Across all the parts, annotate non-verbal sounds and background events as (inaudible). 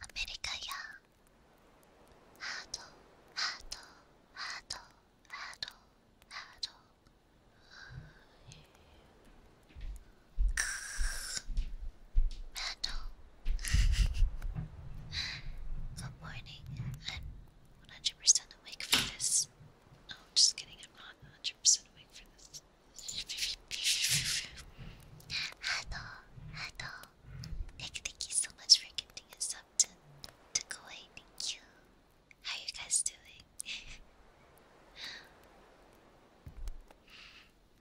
アメリカやハードハードハードハードハードクーハード Good morning. I'm 100% awake for this. Oh, just kidding. I'm not 100% awake for this. Hello, hello. Nick, thank you so much for gifting us up to, to Kuwait. Thank you. How you guys doing?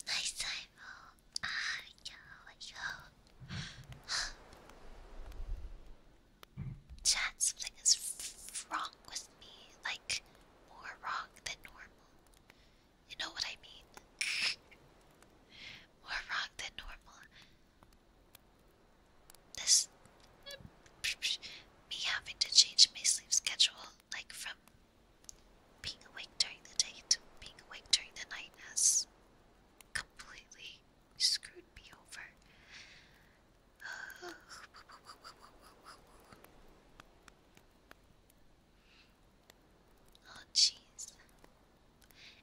nice time, oh. Ah, yo, yo. Chat, something is wrong with me. Like, more wrong than normal. You know what I mean? More wrong than normal. This. Me having to change my sleep schedule, like from being awake during the day to being awake during the night, has completely screwed me over. Oh, jeez.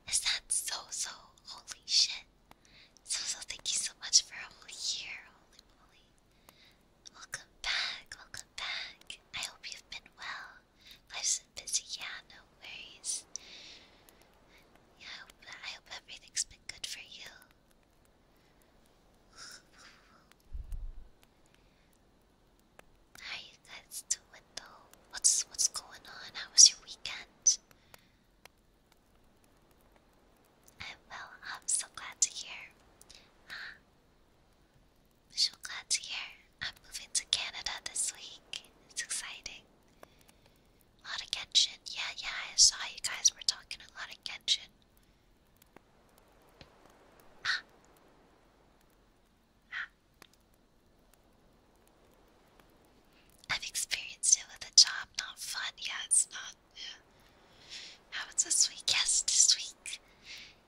Is that so so? Holy shit. So so, thank you so much for a whole year. Holy moly. Welcome back. Welcome back. I hope you've been well. Life's been busy. Yeah, no worries. Yeah, I hope, I hope everything's been good for you. Hi you guys to window. What's what's going on? How was your weekend? I'm uh, well, I'm so glad to hear. Ah, I'm so glad to hear. I'm moving to Canada this week. It's exciting. A lot of Genshin. Yeah, yeah, I saw you guys were talking a lot of Genshin. Ah. Ah. I've experienced it with a job, not fun. Yeah, it's not. Yeah. How was this week? Yes, this week.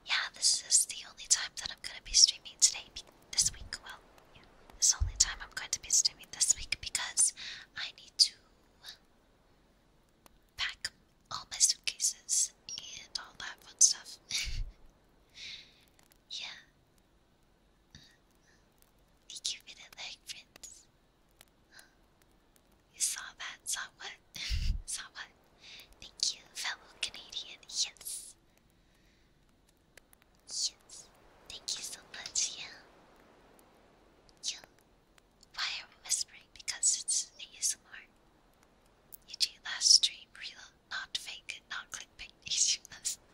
Yeah, this is the only time that I'm going to be streaming today. This week, well, yeah, this is the only time I'm going to be streaming this week because I need to pack all my suitcases and all that fun stuff. (laughs) Yeah. You give the leg prints. You saw that? Saw what? (laughs) saw what? Thank you, fellow Canadian. Yes. Yes. Thank you so much. Yeah. Yeah. Why are we whispering? Because it's ASMR. You do last stream reload not fake, not clickbait issues.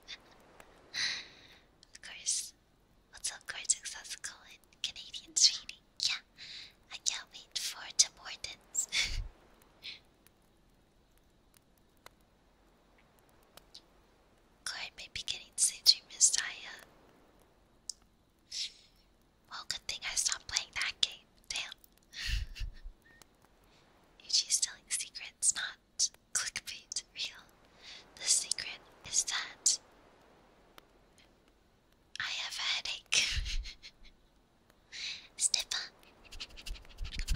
(laughs) of course. What's up, Cortex? How's it going? Canadian Yeah, I can't wait for Tim Hortons. (laughs) Corey may be getting Sage Messiah. Well, good thing I stopped playing that game. Okay, damn. Yuji's (laughs) telling secrets, not clickbait real. The secret is that I have a headache. (laughs) Snipper. It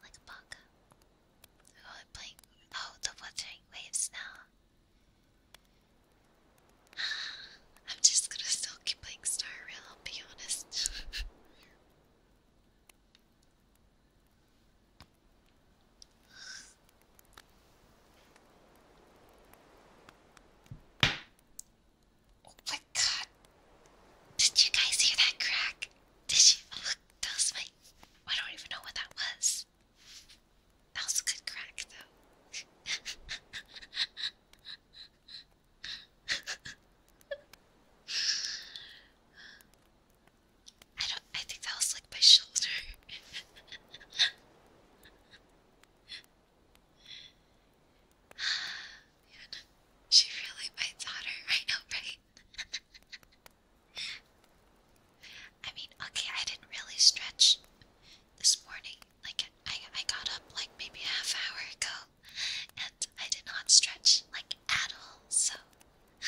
like a baka. Oh, I'm playing. Oh, the Wuthering Waves now. I'm just gonna still keep playing Star Rail, I'll be honest. oh my god. Did you guys hear that crack? Did she look that was my I don't even know what that was. That was a good crack though. (laughs) I don't I think that was like my shoulder. Man, (sighs) she really bites on her right right? (laughs) I mean, okay, I didn't really stretch this morning, like I, I got up like maybe a half hour ago, and I did not stretch like at all. So. (laughs)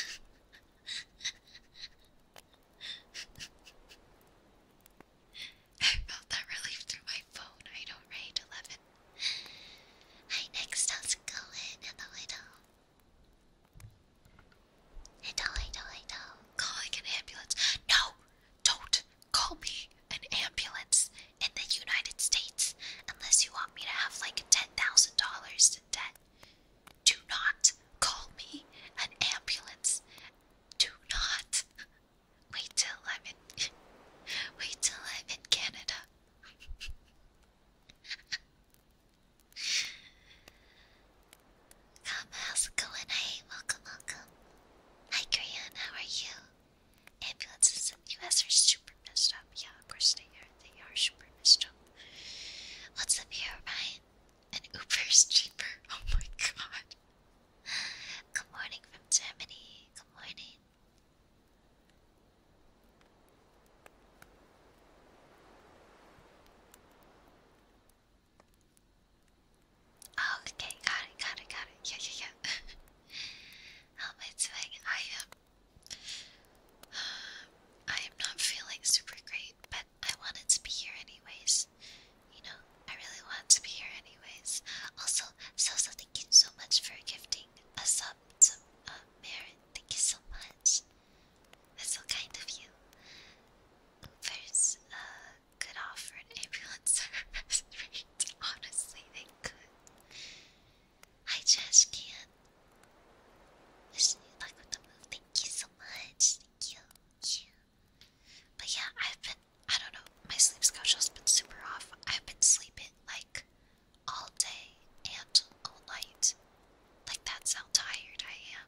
I felt that relief through my phone. I don't rate eleven. Hi, next how's it going? Hello, hello. Hello, hello, hello. Calling an ambulance. No, don't call me an ambulance in the United States unless you want me to have like $10,000 in debt. Do not call me an ambulance. Do not. Wait till I'm in. Wait till I'm in Canada. Come, how's it going? Hey, welcome, welcome. Hi Korean, how are you? Ambulances in the US are super messed up. Yeah, of course they are. They are super messed up. What's up here, Ryan? And Uber is cheaper. (laughs) Oh my god. Good morning from Germany. Good morning. Oh, okay, got it, got it, got it. Yeah, yeah, yeah. How am I I am. (sighs) I am not feeling super great, but I wanted to be here anyways. You know, I really wanted to be here anyways. Also, Sosa, thank you so much for gifting a sub to merit. Thank you so much. That's so kind of you. First, uh, could offer an ambulance (laughs) service Honestly, they could. I just can't. Wish you luck the move. Thank you so much. Thank you. Yeah. But yeah, I've been. I don't know. My sleep schedule's been super off. I've been sleeping like all day and all night. Like that's how tired I am.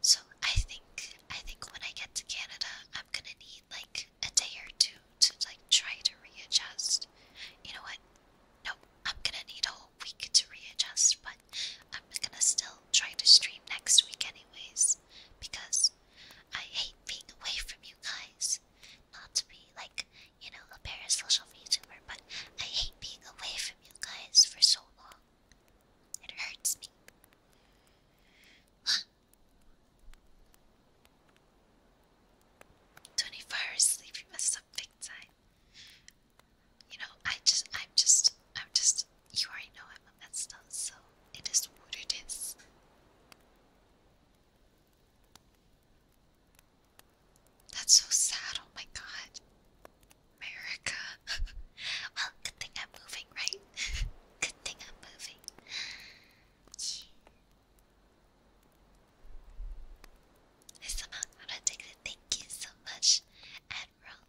So I think I think when I get to Canada, I'm gonna need like a day or two to like try to readjust. You know what? No, I'm gonna need a whole week to readjust, but I'm gonna still try to stream next week anyways because I hate being away from you guys. Not to be like, you know, a parasocial VTuber, but I hate being away from you guys for so long. It hurts me. (sighs) 24 hours sleep, you messed up big time. You know, I just, I'm just, I'm just, you already know I'm a mess, so it is what it is. That's so sad, oh my god. America. (laughs) well, good thing I'm moving, right? (laughs) Good thing I'm moving. I somehow got addicted. Thank you so much, Admiral.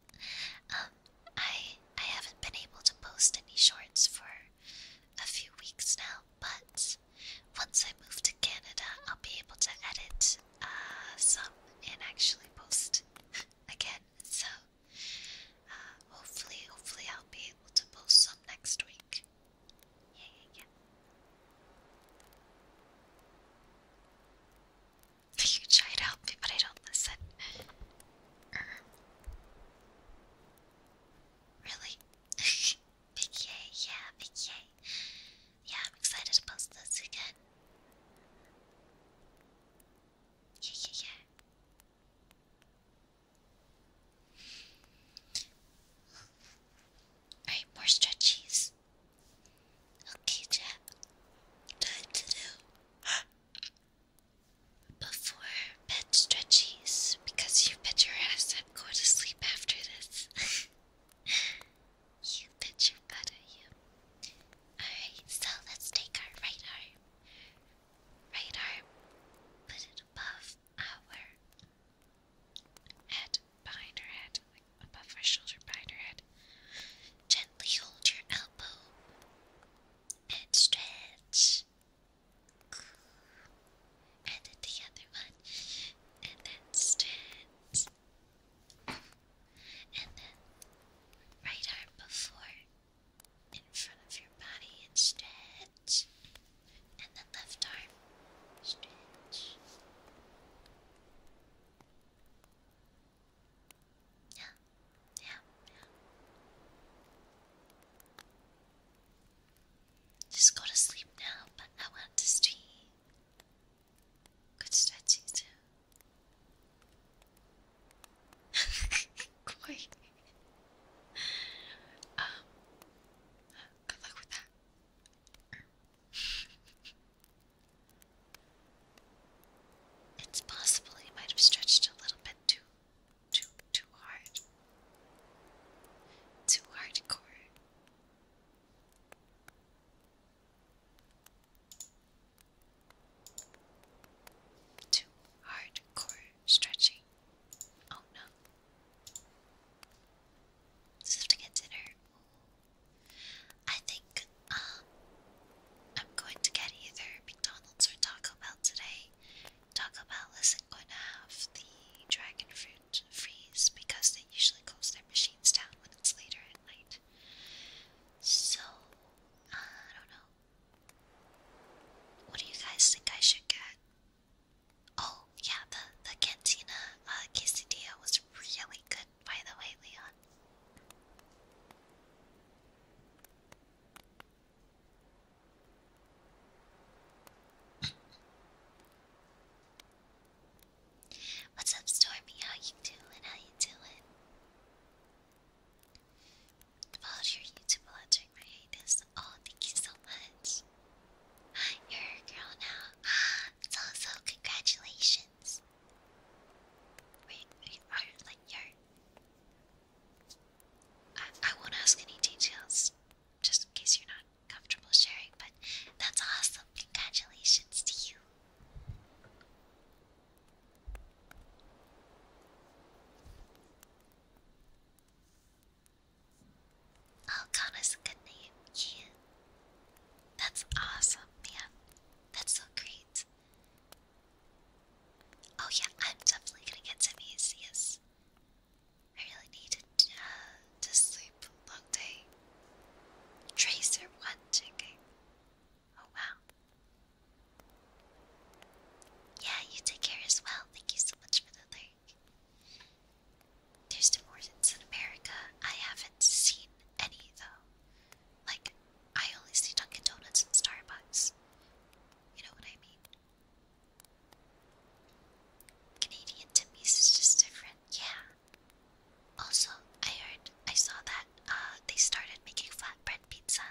Um, I I haven't been able to post any shorts for a few weeks now, but once I move to Canada, I'll be able to edit uh, some and actually post (laughs) again. So uh, hopefully, hopefully I'll be able to post some next week. Yeah, yeah, yeah. (laughs) You try to help me, but I don't listen. Er, really? (laughs) big yay, yeah, big yay. Yeah, I'm excited to post this again. Yeah, yeah, yeah. Alright, more stretchies. Okay, Jack. Time (gasps) before bed stretchies because you bet your ass I'd go to sleep after this. (laughs) you bet your butt, you. Alright, so let's take our right arm radar, put it above our head, behind her head, above her shoulder, behind her head. Gently hold your elbow and stretch. And then the other one, and then stretch. And then right arm before in front of your body and stretch. And the left arm, stretch. Yeah, yeah, Just go to sleep now, but I want good stretching too. Um, good luck with that. it's possible he might have stretched a little bit too, too, too hard. Too hardcore. Too hardcore. Stretchy. Oh no. Just have to get dinner. I think um I'm going to get either McDonald's or Taco Bell today. Taco Bell isn't going to have the dragon fruit freeze because they usually close their machines down when it's later at night. So, I don't know. What do you guys think I should get? Oh, yeah, the, the Cantina uh, quesadilla was really good, by the way, Leon. What's up, Stormy? How you doing? How you doing? followed your YouTube while answering my hiatus. Oh, thank you so much. You're a girl now. (gasps) So, so congratulations. Wait, are like you I, I won't ask any details, just in case you're not comfortable sharing. But that's awesome. Congratulations to you. Alcana's a good name, yeah. That's awesome, man. That's so great. Oh yeah, I'm definitely gonna get some yes. I really need to, uh, to long day. Tracer one ticket. Oh wow. Yeah, you take care as well. Thank you so much for the like. There's divorces in America. I haven't seen any though. Like, I only see Dunkin' Donuts and Starbucks. You know what I mean? Canadian Timmy's is just different, yeah. Also, I heard, I saw that uh, they started making flatbread pizza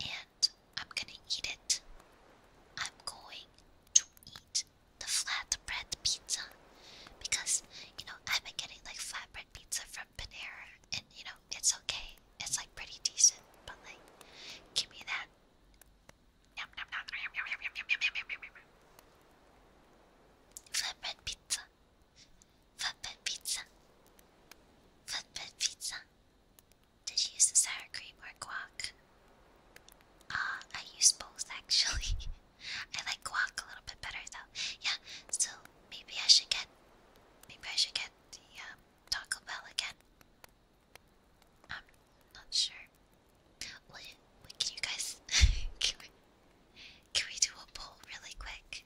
and I'm gonna eat it. I'm going to eat the flatbread pizza because you know I've been getting like flatbread pizza from Panera, and you know it's okay. It's like pretty decent, but like, give me that. Flatbread pizza. Flatbread pizza. Flatbread pizza. Did you use the sour cream or guac? Uh, I use both actually. (laughs) I like guac a little bit better though. Yeah, so maybe I should get, maybe I should get the um, Taco Bell again. I'm not sure. Will you, can you guys? (laughs) can we do a poll really quick?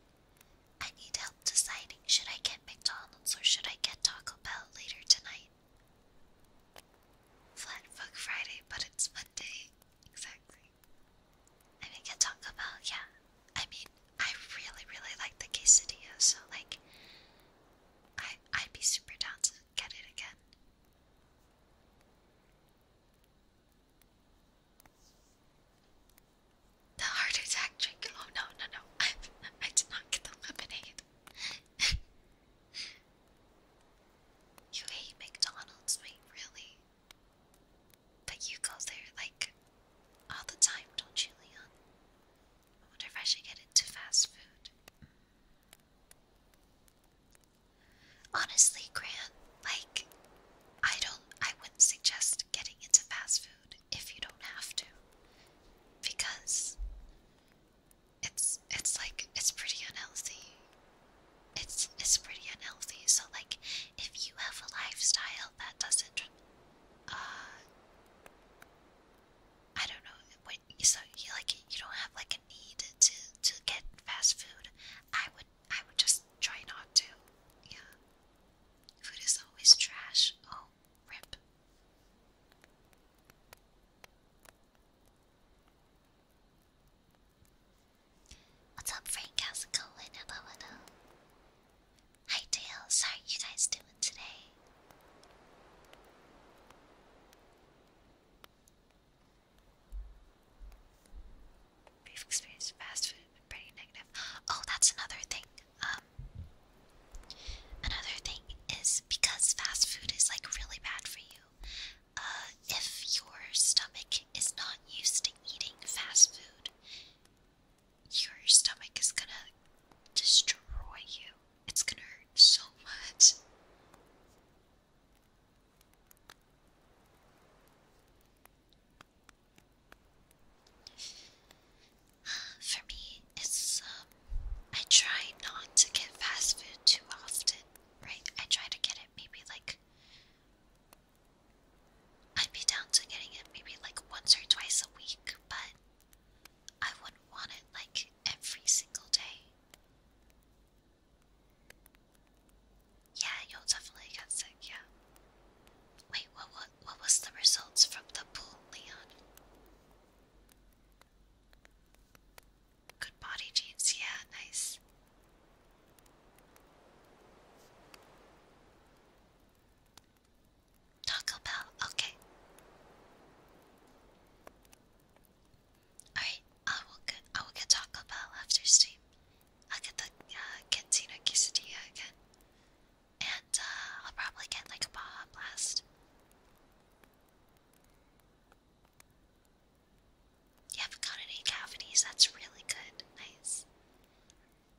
I need help deciding should I get McDonald's or should I get Taco Bell later tonight? Flat Fuck Friday, but it's Monday. Exactly. I mean, get Taco Bell, yeah. I mean, I really, really like the quesadilla, so like, I I'd be super down to get it again. The heart attack drink. Oh no, no, no! I (laughs) I did not get the lemonade you hate McDonald's, mate, really? But you go there like all the time, don't you, Leon? I wonder if I should get into fast food. Honestly, Grant, like I don't I wouldn't suggest getting into fast food if you don't have to. Because it's it's like it's pretty unhealthy. It's it's pretty unhealthy. So like if you have a lifestyle that doesn't uh, I don't know so you like you don't have like a need to to get fast food. I would I would just try not to. Yeah. Food is always trash. Oh Oh, What's up, Frank? How's it going? Hi, Tails. How are you guys doing today? We've experienced fast food, pretty negative. Oh, that's another thing. Um, another thing is because fast food is like really bad for you. Uh, if your stomach is not used to eating fast food, your stomach is gonna destroy you. It's gonna hurt so much. For me, it's um, I try not to get fast food too often, right? I try to get it maybe like I'd be down to getting it maybe like once or twice a week, but I wouldn't want it like every single day. Yeah, you'll definitely get sick, yeah. Wait, what, what, what was the results from the pool, Leon? Good body jeans, yeah, nice. Taco Bell, okay. Alright, I will get I will get Taco Bell after stream. I'll get the uh, cantina quesadilla again. And uh, I'll probably get like a Baja Blast. You haven't got any cavities, that's really good. Nice.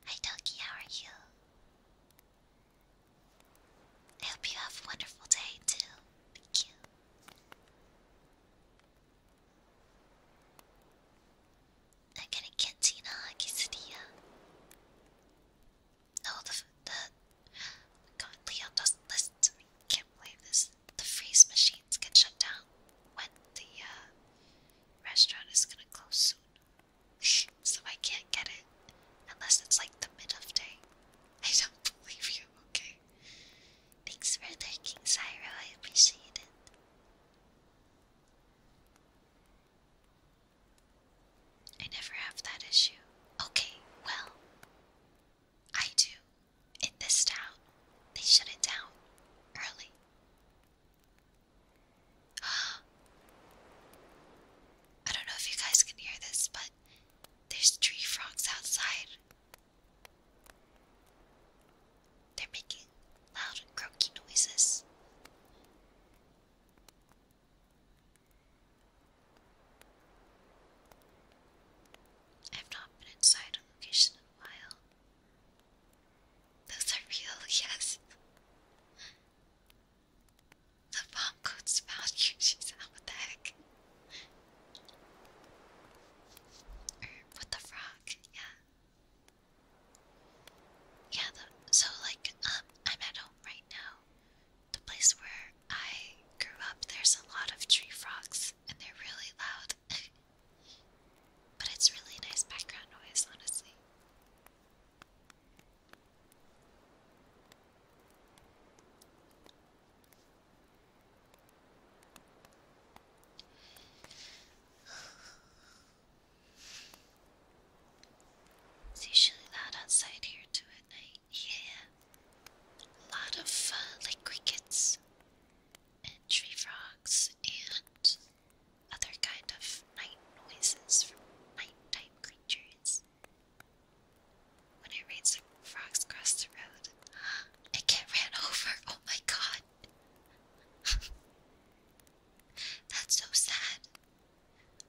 Hi Doki, how are you? I hope you have a wonderful day too. Thank you. I'm gonna get Tina a quesadilla. No, the, the God, Leon doesn't listen to me. Can't believe this. The freeze machines get shut down when the uh, restaurant is gonna close soon, so I can't get it unless it's like the mid of day. I don't believe you. Okay. Thanks for thanking Zyro. I appreciate it. I never have that issue. Okay, well, I do. In this town, they shut it down early. (gasps) I don't know if you guys can hear this, but there's tree frogs outside. They're making loud croaky noises. I've not been inside a location in a while. Those are real, (laughs) yes. The bomb coat's about you, (laughs) she's out. What the heck? Or with the frog, yeah. Yeah, so like, um, I'm at home right now. The place where I grew up, there's a lot of tree frogs, and they're really loud. (laughs) but it's really nice background noise, honestly. It's usually loud outside here too at night. Yeah. A lot of uh, like crickets and tree frogs and other kind of night noises from nighttime creatures. When it rains, the frogs cross the road. (gasps) I get ran (laughs) over. Oh my god. (laughs) That's so sad.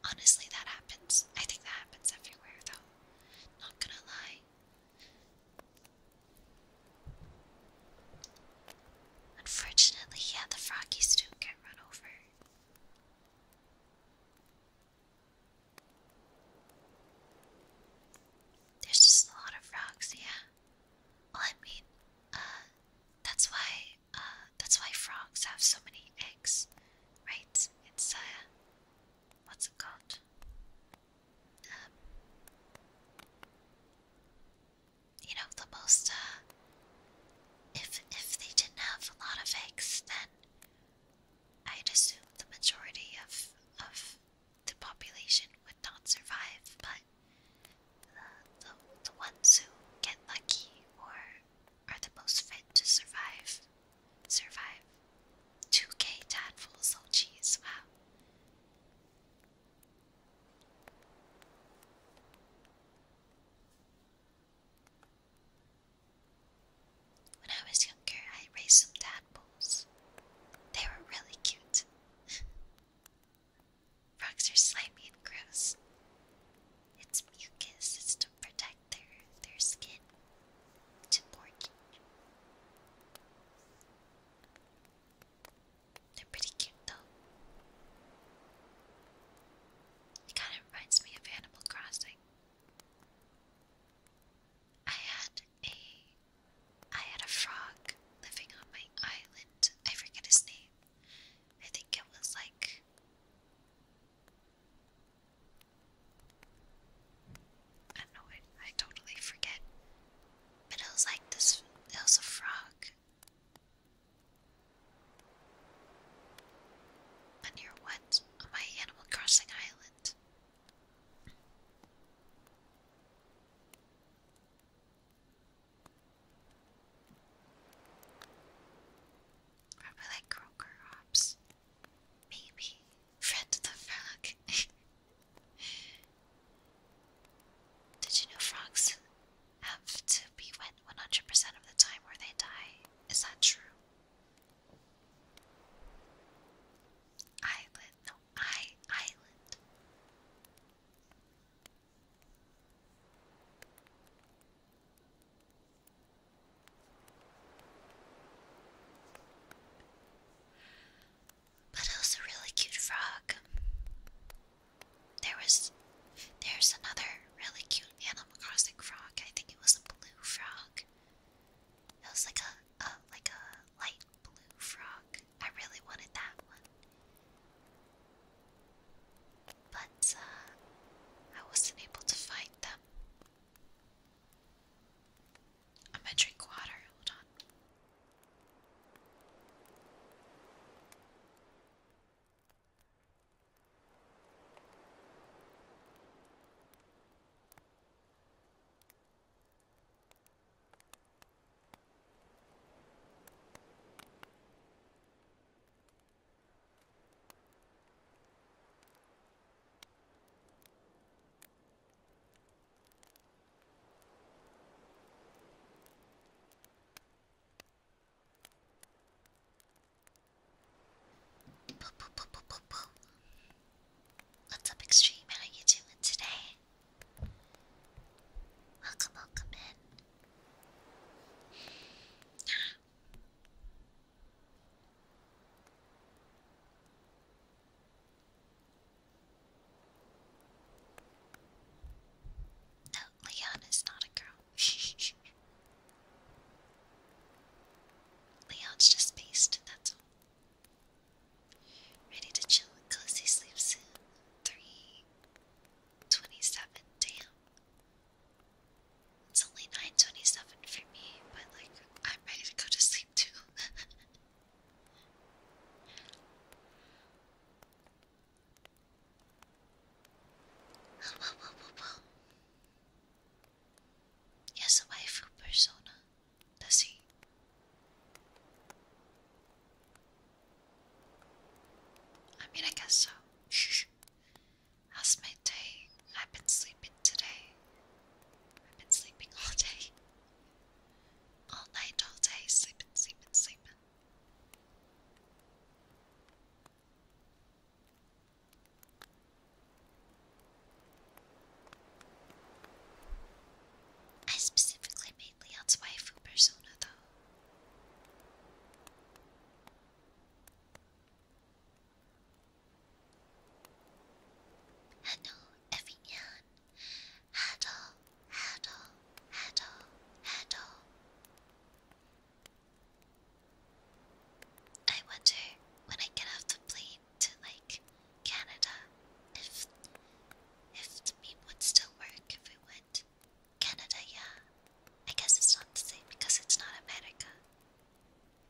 Honestly, that happens. I think that happens everywhere, though. Not gonna lie. Unfortunately, yeah, the froggies do get run over. There's just a lot of frogs, yeah. Well, I mean, uh, that's why, uh, that's why frogs have so many eggs, right? It's, uh, what's it called? Um, you know, the most, uh, if, if they didn't have a lot of eggs, then I'd assume the majority of, of the population would not survive, but the, uh, the, the ones who get lucky or are the most fit to survive survive. 2k tadpoles, oh cheese! wow. When I was younger, I raised some tadpoles. They were really cute. (laughs) Frogs are slimy and gross. Its mucus It's to protect their, their skin to mortgage. They're pretty cute though. It kind of reminds me of Animal Crossing. I had a I had a frog living on my island. I forget his name. I think it was like I know, I, I totally forget. But it was like this, it was a frog. And near what? On my Animal Crossing Island. Probably like Croaker hops. Maybe Fred the Frog. (laughs) Did you know frogs have to be wet 100% of the time or they die? Is that true? Island, no, I island. But it was a really cute frog. There was there's another really cute Animal Crossing frog. I think it was a blue frog. It was like a, like a light blue frog. I really wanted that one. But uh, I wasn't able to find them. I'm gonna drink water, hold on. What's up, Extreme? How are you doing today? Welcome, welcome in. No, Leanna's not a girl. (laughs) Leon's just based, that's all. Ready to chill and cozy sleep soon. 3 damn. It's only 9.27 for me, but like, I'm ready to go to sleep too. whoa, whoa, whoa, persona, does he? I mean, I guess so. (laughs) How's my day? I've been sleeping today. I've been sleeping all day. All night, all day, sleeping, sleeping, sleeping. I specifically made Leon's waifu persona, though. Hello, everyone. Hello, hello, hello, hello. I wonder when I get off the plane to like Canada if if the meme would still work if it would. Canada, yeah. I guess it's not the same because it's not America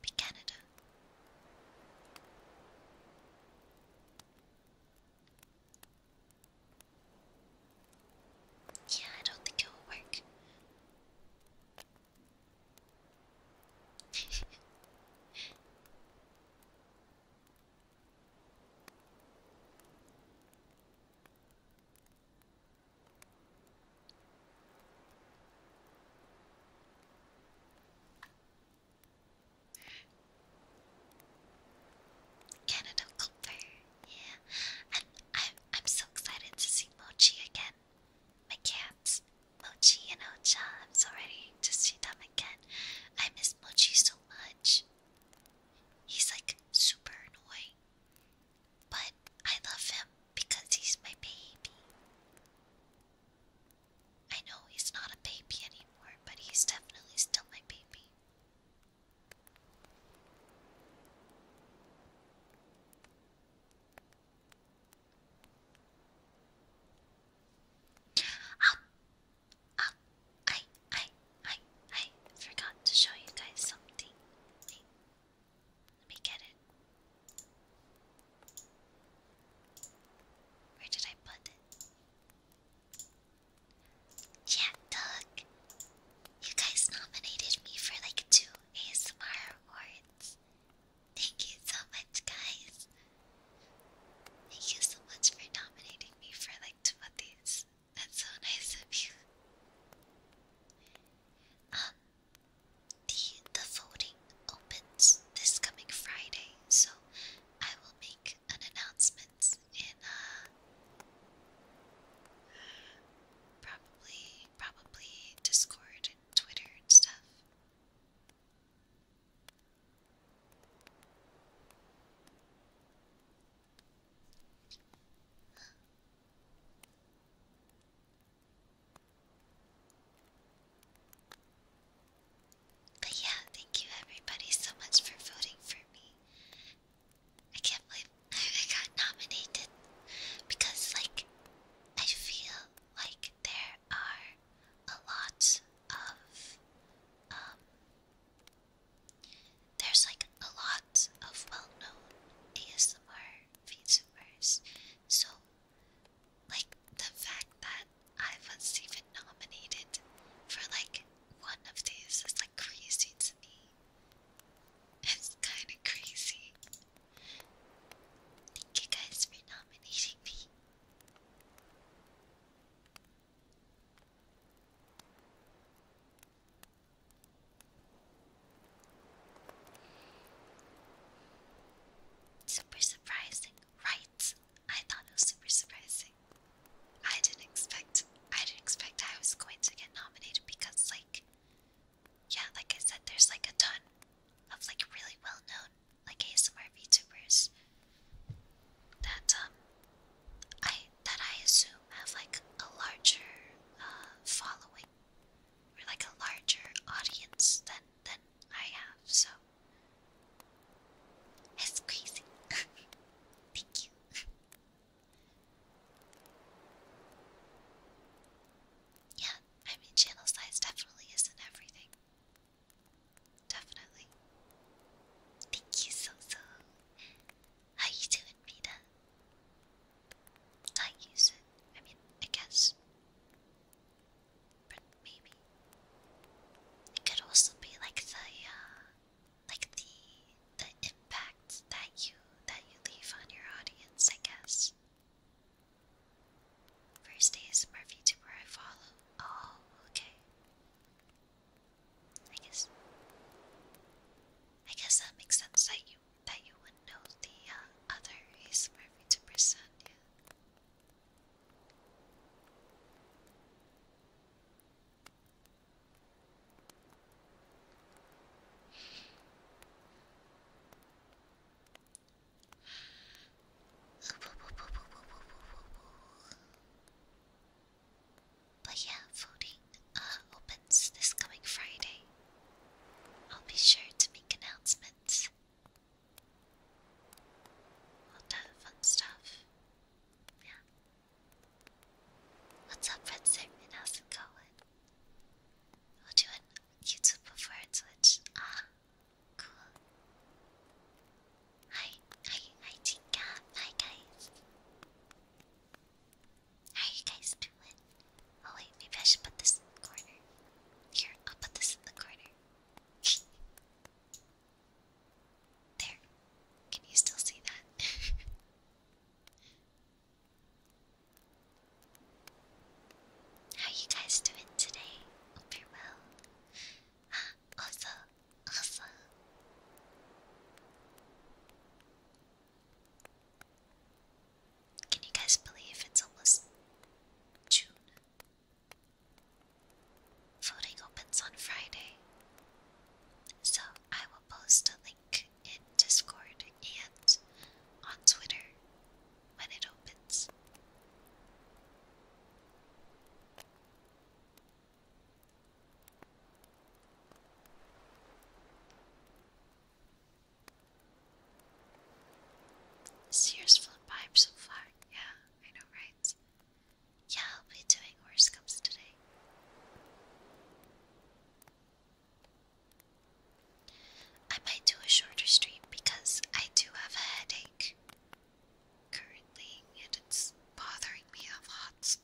be Canada. Yeah, I don't think it will work. (laughs) Canada Culper, yeah. And I'm I'm so excited to see Mochi again. My cats, Mochi and Ocha. I'm so ready to see them again. I miss Mochi so much. He's like super annoying. But I love him because he's my baby. I know he's not a baby anymore, but he's definitely still my baby. Um, um, I, I, I, I forgot to show you guys something. Let me get it. Where did I put it? Yeah, Doug! You guys nominated me for like two ASMR awards. Thank you so much, guys. Thank you so much for nominating me for like two of these. That's so nice of you. Um, the the voting opens this coming Friday, so I will make an announcement in uh, probably probably Discord and Twitter and stuff. But yeah, thank you everybody so much for voting for me. I can't believe (laughs) I got nominated because, like, I feel like there are a lot of, um, there's like a lot of well known ASMR VTubers, so like the fact that I was even nominated for like one of these is like crazy to me. It's kind of crazy. Thank you guys for nominating me. Super surprising, right? I thought it was super surprising. I didn't expect I didn't expect I was going to get nominated because like yeah, like I said, there's like a ton of like really well known like ASMR VTubers that um I that I assume have like a larger uh following or like a larger audience than than I have, so That's crazy. (laughs) Thank you. yeah, I mean, channel size definitely isn't everything. Definitely. Thank you so so. How you doing, Rita? I use it. I mean, I guess but maybe it could also be like the uh, like the the impact that you that you leave on your audience, I guess. First day is my VTuber I follow. Oh, okay. I guess I guess that makes sense that you that you would know the uh, other ASMR VTuber son, yeah. But yeah, voting uh, opens this coming Friday. I'll be sure to make announcements all that fun stuff. Yeah. What's up, Red Sigmund? How's it We'll do it YouTube before it's Twitch. Ah, cool. Hi, hi, hi, Tinka. Hi, guys. How you guys doing? Oh, wait, maybe I should put this corner. Here, I'll put this in the corner. There. Can you still see that? (laughs) How you guys doing today? Hope you're well. (gasps) also, also. Can you guys believe it's almost June? Voting opens on Friday, so I will post a link in Discord and on Twitter when it opens. This Sears flip pipes so flour. Yeah, I know, right? Yeah, I'll be doing comes today. I might do a shorter stream because I do have a headache currently and it's bothering me a lot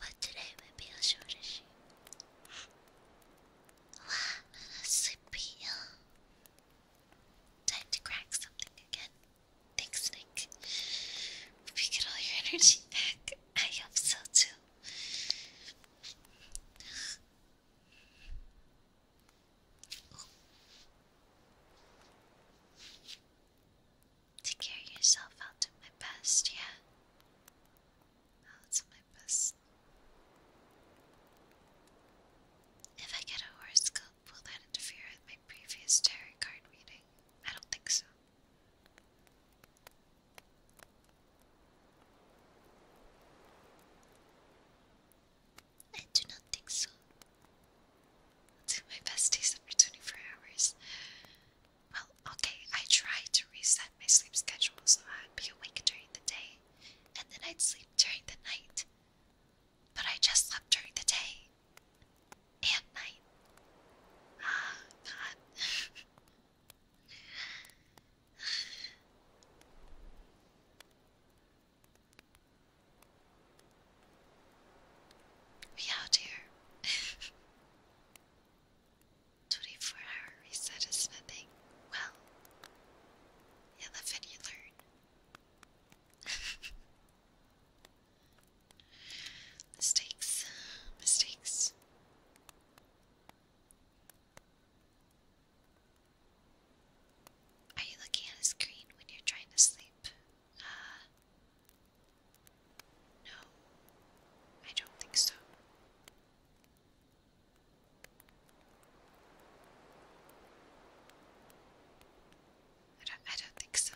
but today may be a shorter shoot. sleepy. Time to crack something again. Thanks, Nick. Hope you get all your energy back. I hope so too to carry yourself out to my best, yeah? Out to my best. If I get a horoscope, will that interfere with my previous tarot card reading? I don't think so. I do not think so. I'll do my best to for 24 hours. Well, okay, I tried to reset my sleep schedule so I'd be awake during the day and then I'd sleep during the night. But I just slept during the day and night. Ah, God. we out here. 24 hour reset is nothing. Well, you live and you learn. (laughs) mistakes, mistakes. Are you looking at a screen when you're trying to sleep? Uh, no, I don't think so. I don't, I don't think so.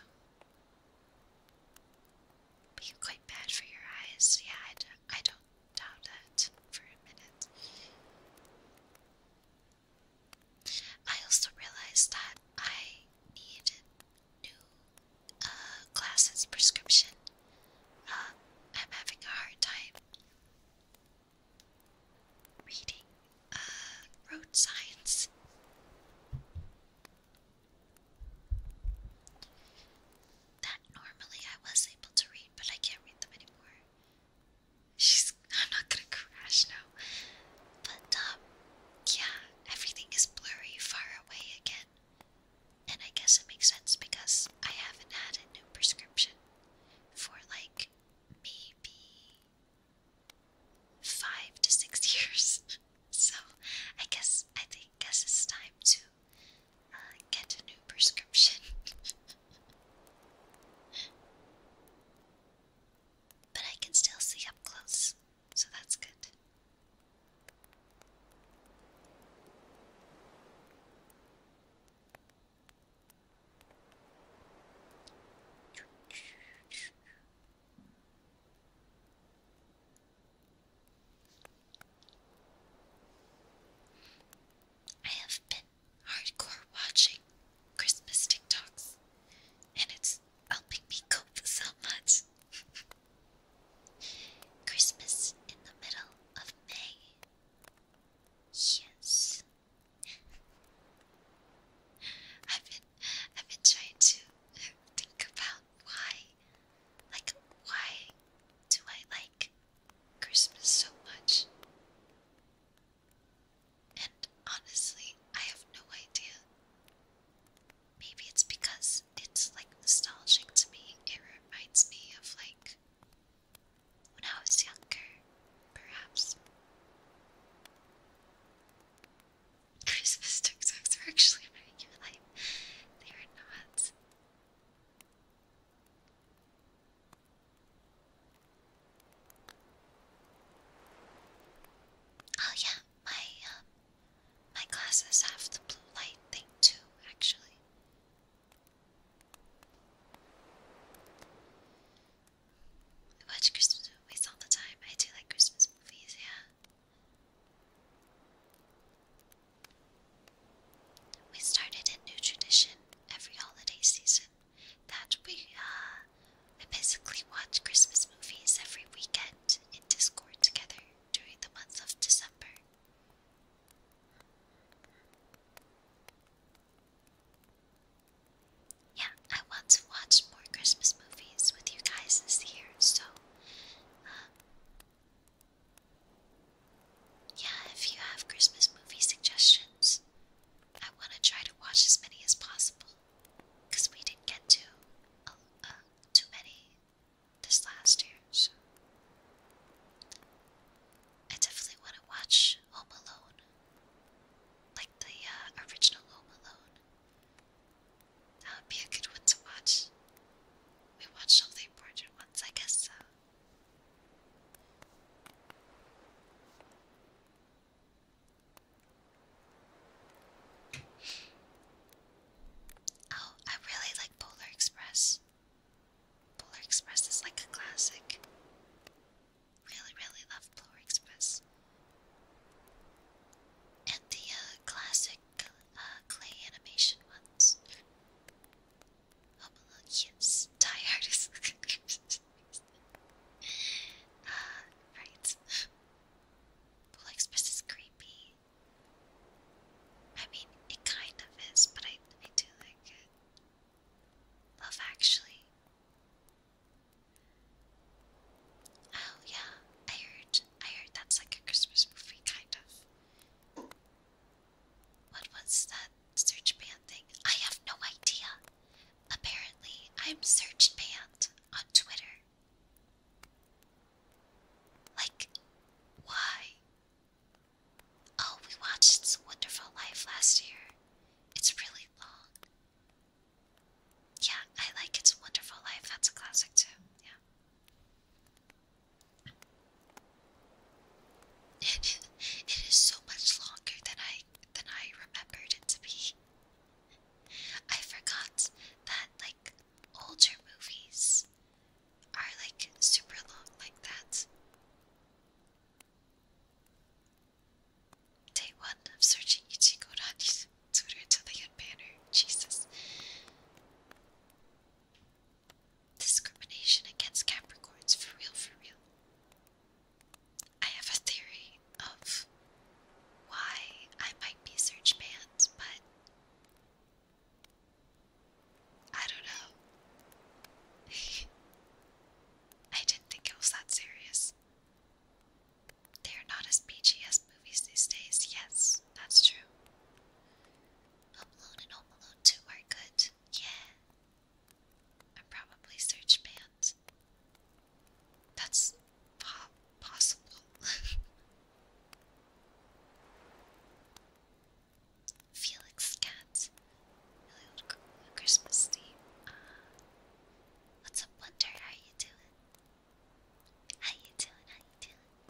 But quite bad for your eyes. Yeah, I, do, I don't doubt that for a minute. I also realized that I needed new glasses uh, prescription. Um, I'm having a hard time reading uh, road signs. That normally I was able to read, but I can't read them anymore. She's. (laughs) I'm not gonna crash now. But, um, yeah, everything is blurry, far away again. And I guess it makes sense because I haven't had a new prescription for like maybe five to six (laughs) years. so I guess I think guess it's time to uh, get a new prescription. (laughs) but I can still see up close so that's good. I have been hardcore watching Christmas TikToks, and it's helping me cope so much. Christmas in the middle of May. Yes. I've been I've been trying to think about why like why do I like Christmas so much? And honestly, I have no idea. Maybe it's because it's like nostalgic to me. It reminds me of like when I was younger, perhaps. (laughs) Christmas tuk tuks actually my new life. They were not. Oh, yeah, my um, my glasses have the blue light thing too, actually. I watch Christmas movies all the time. I do like Christmas movies, yeah. We started a new tradition every holiday season that we uh we basically watch Christmas movies every weekend in Discord together during the month of December. Yeah, I want to watch more Christmas movies with you guys this year, so uh, yeah, if you have Christmas movie suggestions, I want to try to watch as many as possible because we didn't get to uh, uh, too many this last year, so I definitely want to watch Home Alone, like the uh, original Home Alone. That would be a good one to watch. We watched all the important ones, I guess Oh, I really like Polar Express. Polar Express is like a classic. Really, really love Polar Express. And the uh, classic uh, clay animation ones. Home oh, Alone, yes. (laughs) Ah, right. Polar Express is creepy. I mean, it kind of is, but I, I do like it. Love Actually. Oh yeah, I heard. I heard that's like a Christmas movie, kind of. What was that search band thing? I have no idea. Apparently, I'm search band on Twitter. Like, why? Oh, we watched It's a Wonderful Life last year. It's really long. Yeah, I like It's a Wonderful Life. That's a classic too. Yeah. It, (laughs) it is so much longer than I than I remembered it to be. I forgot that like older movies are like super long like that. Day one of searching Ichigo Rani's Twitter until they get banner. Jesus. Discrimination against Capricorns, for real, for real. I have a theory of why I might be search banned, but I don't know. (laughs) I didn't think it was that serious. They are not as peachy as movies these days, yes, that's true. Home Alone and Home Alone 2 are good, yeah. And probably Search Band. That's possible. (laughs) Felix Cat, really Christmas theme. Uh, what's up, Wonder? How you doing? How you doing? How you doing?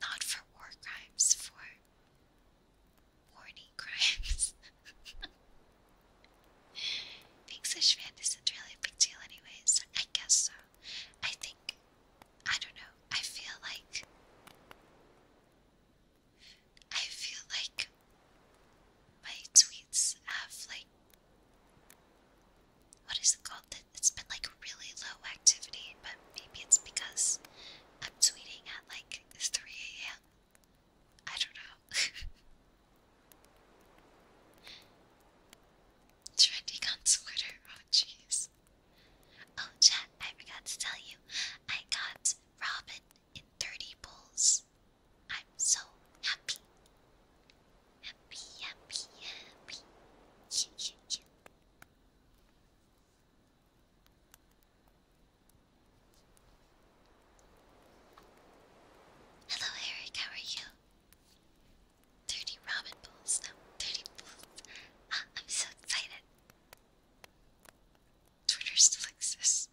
Not for war crimes, for warning crimes. (laughs) Being such fan isn't really a big deal anyways. I guess so. I think I don't know. I feel like I feel like my tweets have like what is it called? It's been like really low activity, but maybe it's because I'm tweeting at like 3 a.m. I don't know. (laughs) Trending on Twitter. Oh, jeez. Oh, chat, I forgot to tell you. I got Robin in 30 pulls. I'm so happy. Happy, happy, happy. Yeah, yeah, yeah. Hello, Eric, how are you? 30 ramen bowls, no, 30 bowls. Ah, I'm so excited. Twitter still exists.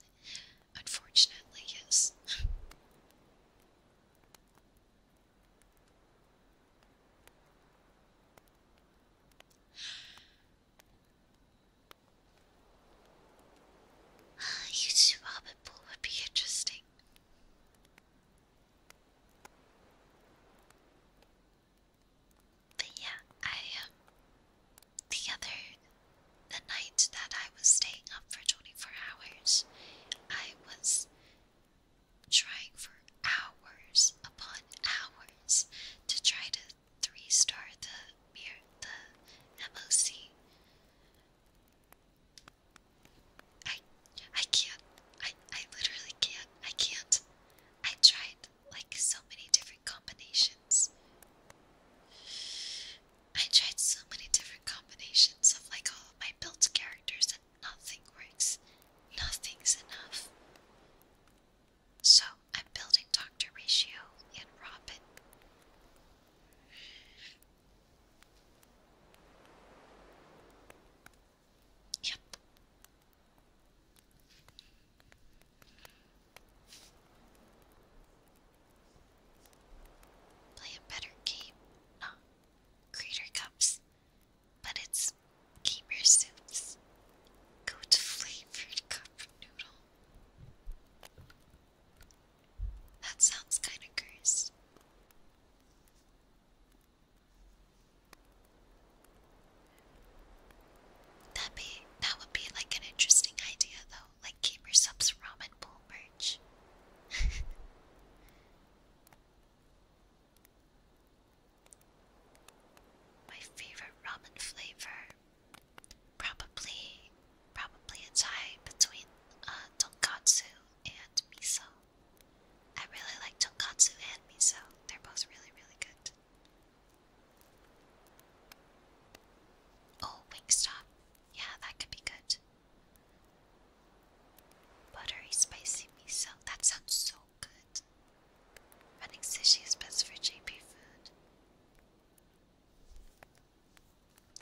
Unfortunately, yes. Ah, you huge rabbit pool would be interesting. But yeah, I um, the other the night that I was staying up for 24 hours, I was trying for hours upon hours to try to restart the mirror the MOC. I I can't. I I literally can't. I can't. I tried like so many different combinations. I tried so many different combinations of like all of my built characters and nothing works. Nothing's enough. So I'm building Dr. Ratio and Robin. Yep. Play a better game, not Crater Cups, but it's Gamer Soups. Go to Flavored Cup Noodle. That sounds kinda gross. That be that would be like an interesting idea though, like Gamer ramen bowl merch. (laughs) My favorite ramen flavor, probably probably a tie between uh, tonkatsu and miso. I really like tonkatsu and miso, they're both really, really good. Oh, Wingstop. Yeah, that could be good. Buttery spicy miso. That sounds so good. Running sushi is best for JP food.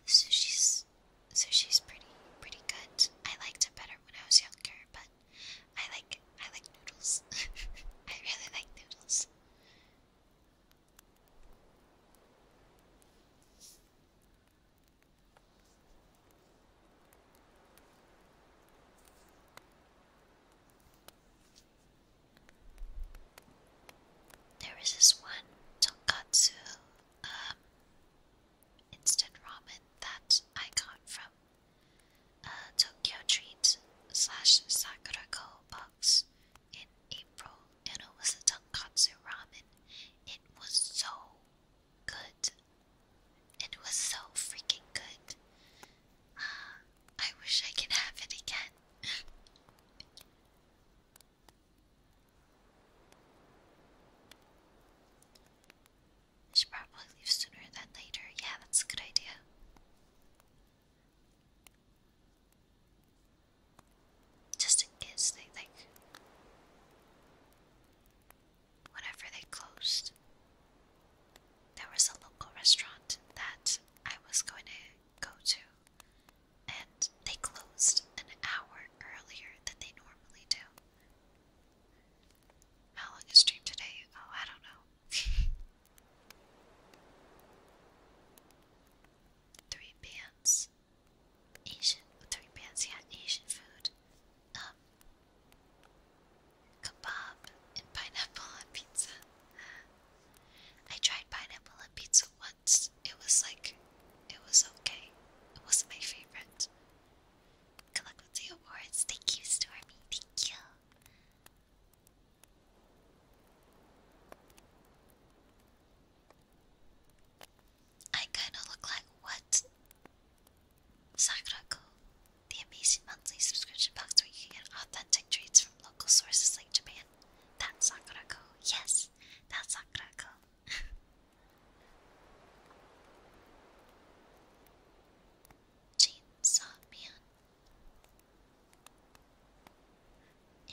So she's so she's pretty pretty good. I liked it better when I was younger, but I like I like noodles. (laughs) I really like noodles. There is this one tonkatsu um, instant ramen that I got from uh, Tokyo Treat slash Sakurako box in April, and it was a tonkatsu ramen. It was so good. It was so freaking good. Uh, I wish I could have it again. (laughs) I should probably leave sooner than later. Yeah, that's a good idea. Just in case they like whenever they closed. There was a local restaurant that I was going to go to and they closed an hour earlier than they normally do. How long is stream today? Oh, I don't know. (laughs) three bands. Asian three bands, yeah, Asian food. Um kebab and pineapple on pizza. I tried pineapple on pizza once it was like it was okay. It wasn't my favorite. Good with the awards. Thank you, Stormy. Thank you. I kinda look like what? Sakurako, the amazing monthly subscription box where you can get authentic treats from local sources like Japan. That's Sakurako. Yes, that's Sakurako. Chainsaw Man.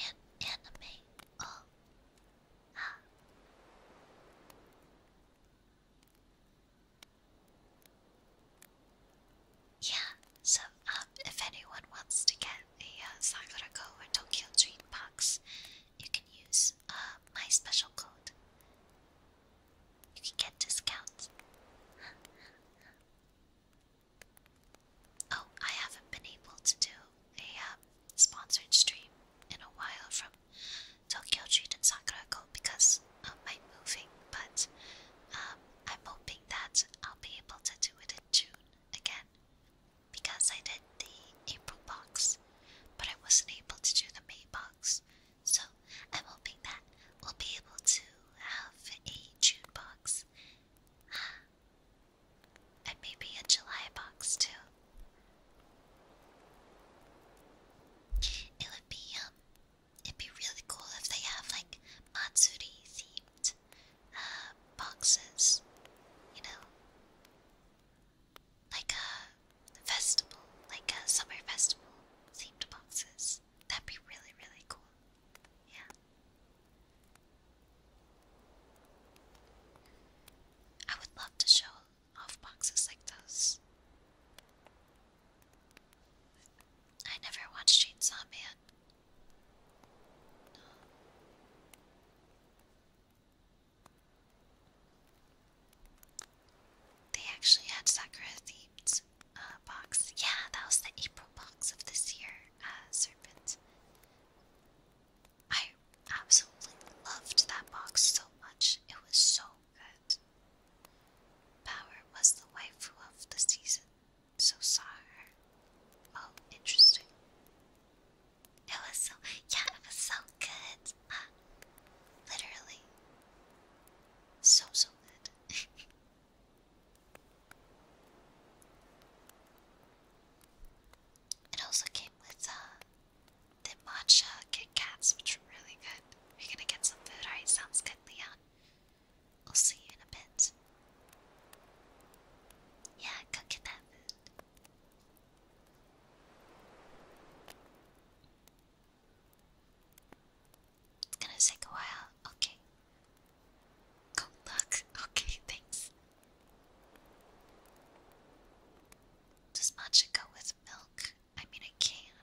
An anime. Oh. Ah. Yeah, so um, if anyone wants to get a uh, Sakura Go or Tokyo Dream box, you can use uh, my special code. You can get discounts. oh, I haven't been able to do a um, sponsored stream in a while from Tokyo Street and Sakurako because of my moving, but um, I'm hoping that I'll be able to do it in June again because I did the April box, but I wasn't able to do the May box. So I'm hoping that we'll be able to have a June box. Uh, and maybe a July box too. It would be um it'd be really cool if they have like Matsuri themed uh, boxes, you know like a festival, like a summer festival themed boxes. That'd be really, really cool. Yeah. I would love to show off boxes like those. I never watched Chainsaw Man. They actually had Sakura themed uh, box. Yeah, that was the April box of this year, uh, Serpent. I absolutely loved that box so much. It was so good. Power was the waifu of the season, so saw Oh, interesting. It was so yeah, it was so good. Uh, literally, so so good. (laughs) it also came with uh, the matcha Kit which were really good. We're gonna get some food. Alright, sounds good, Leon. I'll see you in a bit. Yeah, go get that food. It's gonna take a while. Okay. Good luck. Okay, thanks. Does matcha go with milk? I mean, I can.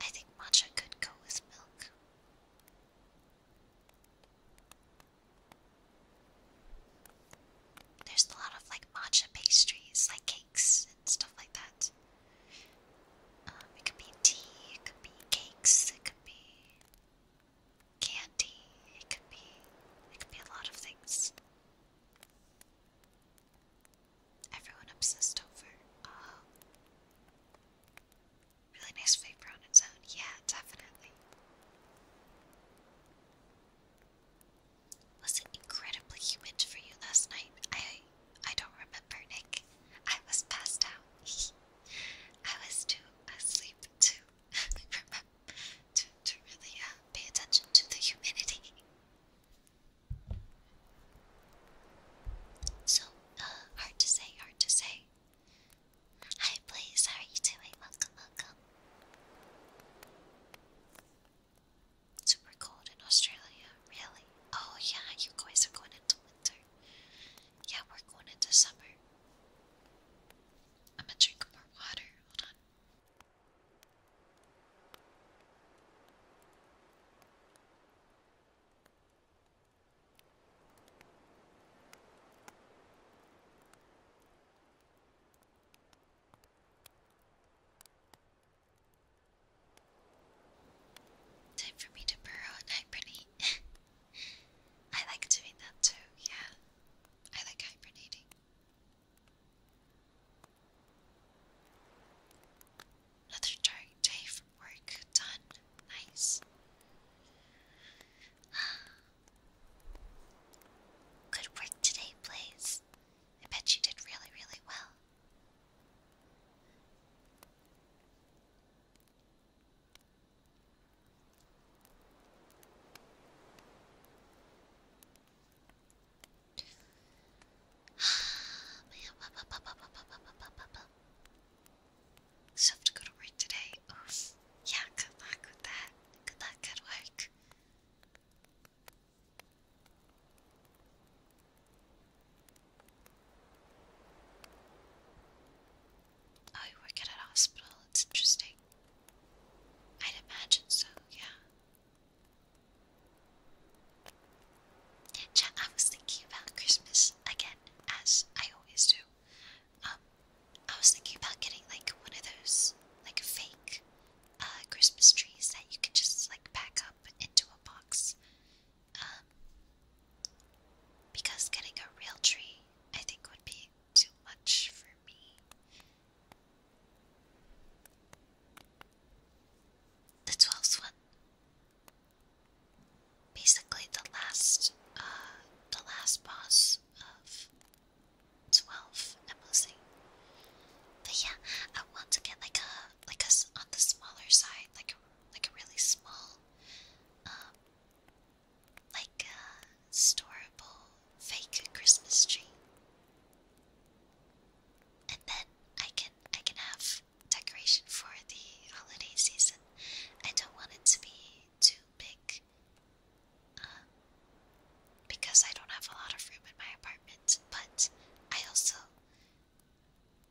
I think matcha could go with milk. There's a lot of like matcha pastries, like cakes and stuff like that. Um, it could be tea, it could be cakes, it could be candy, it could be it could be a lot of things. Everyone obsessed over. Uh, really nice flavor on its own. Yeah, definitely. Was it incredibly humid for you last night? I I don't remember, Nick. I was passed out. (laughs) I was too asleep to (laughs) to to really uh, pay attention to the humidity. So, uh, hard to say, hard to say. Hi, Blaze. How are you doing? Welcome, welcome. Super cold in Australia, really? Oh, yeah, you guys are going into winter. Yeah, we're going into summer. I'm gonna drink more water. Hold on. Time for me to burrow at hibernate. (laughs) I like doing that too, yeah. I like hibernating. Another dark day from work done. Nice. Good work today, Blaze. I bet you did really, really well. Still have to work today. Oof. Yeah, good luck with that. Good luck, good work. Oh, you work at a hospital, it's interesting. I'd imagine so, yeah. I was thinking about Christmas again, as I always do, um, I was thinking about getting like one of those like fake uh, Christmas trees that you can just like pack up into a box. Um, because getting a real tree, I think, would be too much for me. The twelfth one. Basically, the last, uh, the last boss of 12 I'm But yeah, I want to get like a like a on the smaller side, like like a really small, um, like a uh, storable fake Christmas tree, and then I can I can have decoration for the holiday season. I don't want it to be too big because I don't have a lot of room in my apartment, but I also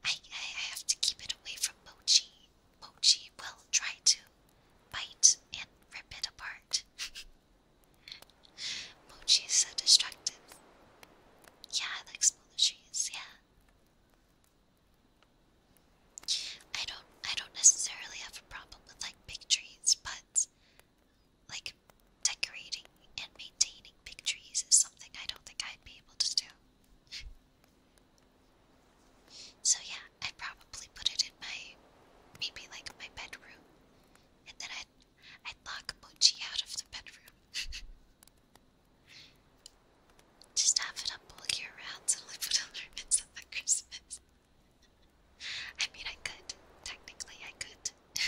I, I have to keep it away from Mochi. Mochi will try to bite and rip it apart. (laughs) Mochi is so destructive. Yeah, I like small trees, yeah. I don't I don't necessarily have a problem with like big trees, but like decorating and maintaining big trees is something I don't think I'd be able to do. so yeah, I'd probably put it in my maybe like my bedroom, and then I'd I'd lock Mochi out of the bedroom. (laughs) Just have it up all year round till I put ornaments up at Christmas. (laughs) I mean, I could. Technically, I could. (laughs)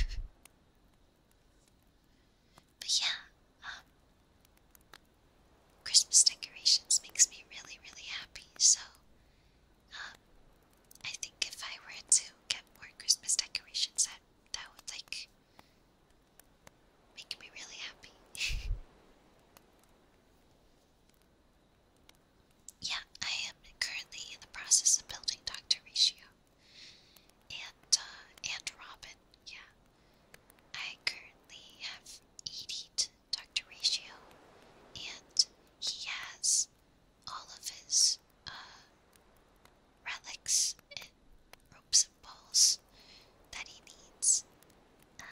but yeah, um, Christmas decorations makes me really, really happy. So, um, I think if I were to get more Christmas decorations, that that would like make me really happy. (laughs) Yeah, I am currently in the process of building Dr. Ratio. And, uh, and Robin, yeah. I currently have ed Dr. Ratio, and he has all of his, uh, relics and ropes and balls that he needs. Uh,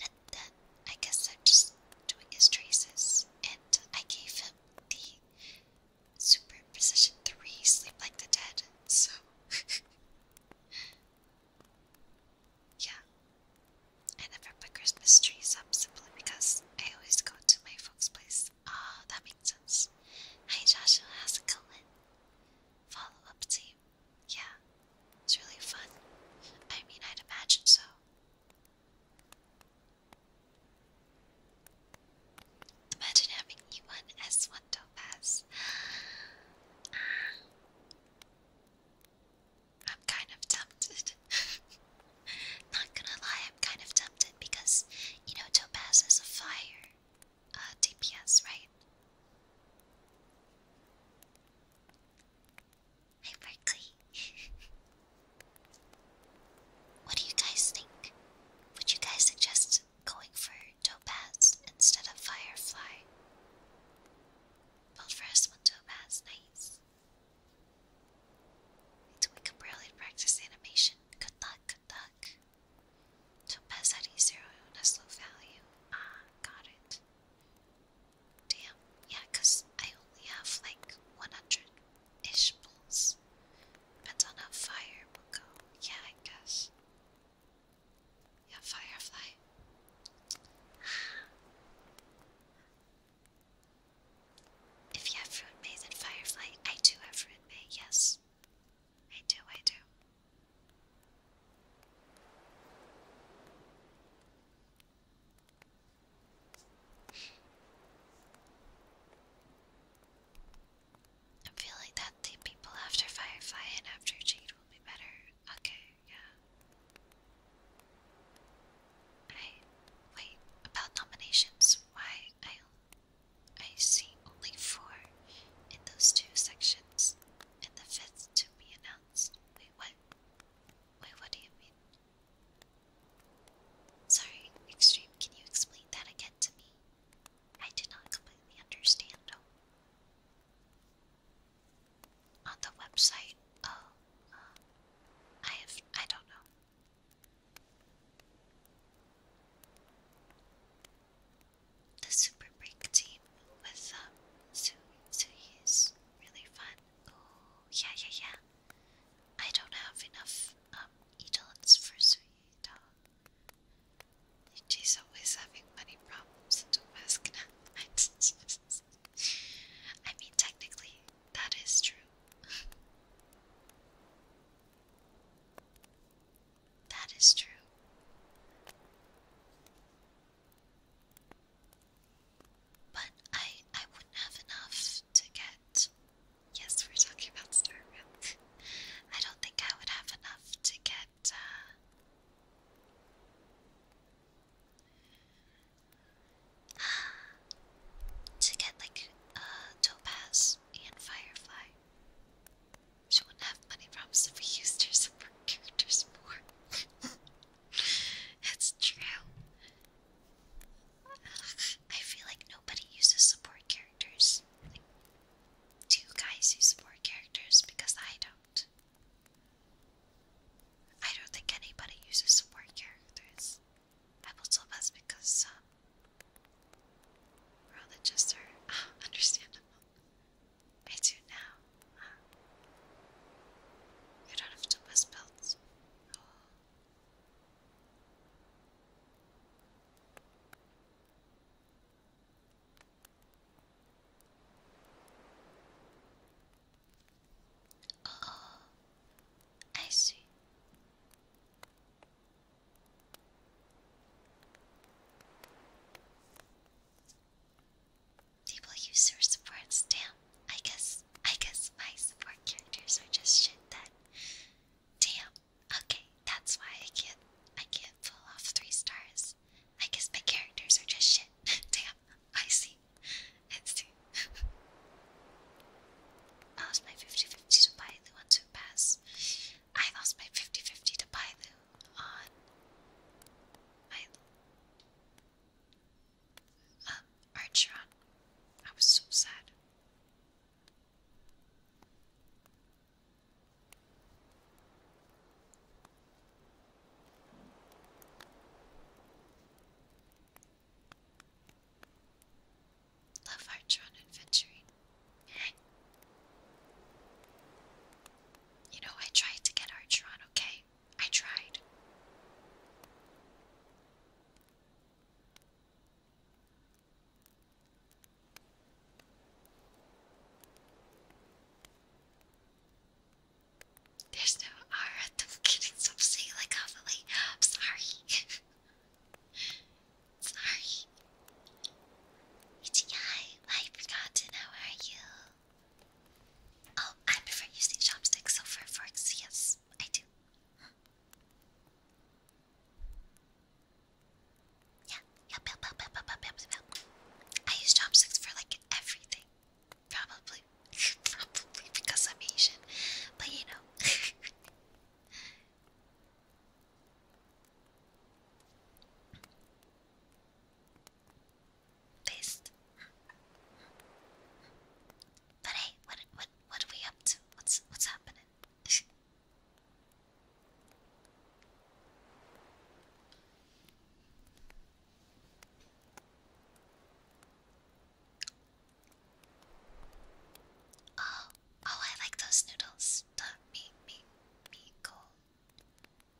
and then I guess I'm just doing his traces. And I gave him the superposition 3 sleep like the dead. So (laughs) yeah. I never put Christmas trees up simply because I always go to my folks' place. Ah, oh, that makes sense. Hi Joshua, how's it going? Follow up team. Yeah. It's really fun. I mean I'd imagine so. Imagine having you on S1 Topaz. I'm kind of tempted. (laughs) Not gonna lie, I'm kind of tempted because, you know, Topaz is a fire DPS, uh, right? Hi, Berkeley. (laughs) what do you guys think? Would you guys suggest going for Topaz instead of Firefly? Well, first one Topaz, nice. So we can practice animation. Good luck, good luck. Topaz at E0 on a slow value. Ah, got it. Damn, yeah, because I only have like 100 ish bulls. Depends on how fire will go. Yeah, I guess. Yeah, firefly. (sighs) If you have fruit maze and firefly, I do have fruit maze, yes. I do, I do. I'm feeling that the people after Firefly and after Jade will be better. Okay, yeah. I wait about nominations. Why I I see only four in those two sections, and the fifth to be announced. Wait, what? Wait, what do you mean? Sorry, Extreme, can you explain that again to me? I did not completely understand. On the website, oh, uh, I have, I don't know. The Super Break team with um, Su Su is really fun yeah, yeah, yeah. I don't have enough um for sweet. She's always having money problems. (laughs) I mean, technically, that is true. that is true. But I I wouldn't have enough to get yes, we're talking about Star Trek. I don't think I would have enough to get uh to get like uh Topaz and Firefly. She wouldn't have money problems if we used her super (laughs) characters more. It's true. I feel like nobody uses support characters. do you guys use support characters? Because I don't. I don't think anybody uses support characters. I will tell that's because um, religious are (laughs) understandable. I do now. I don't have to belts. Oh, I see people use their Damn, I guess I guess my support characters are just shit Damn. Okay, that's why I can't I can't pull off three stars. I guess my characters are just shit. (laughs) Damn, I see. I see. (laughs) I lost my 50 to Bailu on two pass. I lost my 50 to Bailu on my uh, Archer, I was so sad. Love Archeron adventuring. you know, I tried to get Archeron, okay? I tried. There's no R at the beginning, so I'm saying like heavily. I'm sorry. (laughs) sorry. Ichi, I've forgotten. How you? Oh, I prefer using chopsticks over forks. Yes, I do. Hmm. Yeah, yep, yep, yep, yep, yep, yep, yep. I use chopsticks for like everything. Probably, (laughs) probably because I'm Asian. But you know. (laughs) based. But hey, what what what are we up to? What's what's happening? oh, oh, I like those noodles. The me me me go.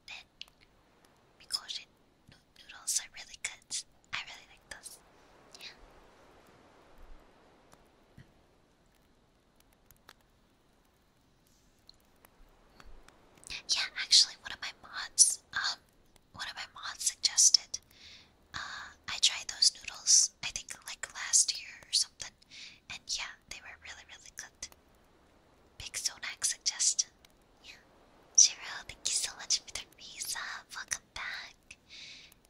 Then, me go noodles are really good. I really like those. Yeah. actually, one of my mods, um, one of my mods suggested, uh, I tried those noodles, I think like last year or something, and yeah, they were really, really good. Big Sonak suggestion. Yeah. thank you so much for the resub. Welcome back.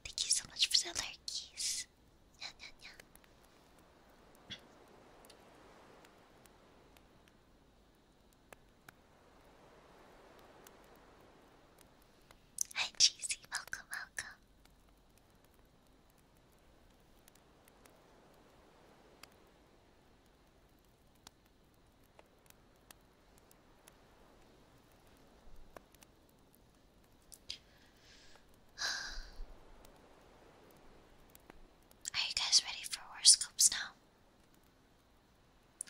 Thank you so much for the lurkies. Yeah, yeah, yeah. Hi, Cheesy. Welcome, welcome. Are you guys ready for horoscopes now?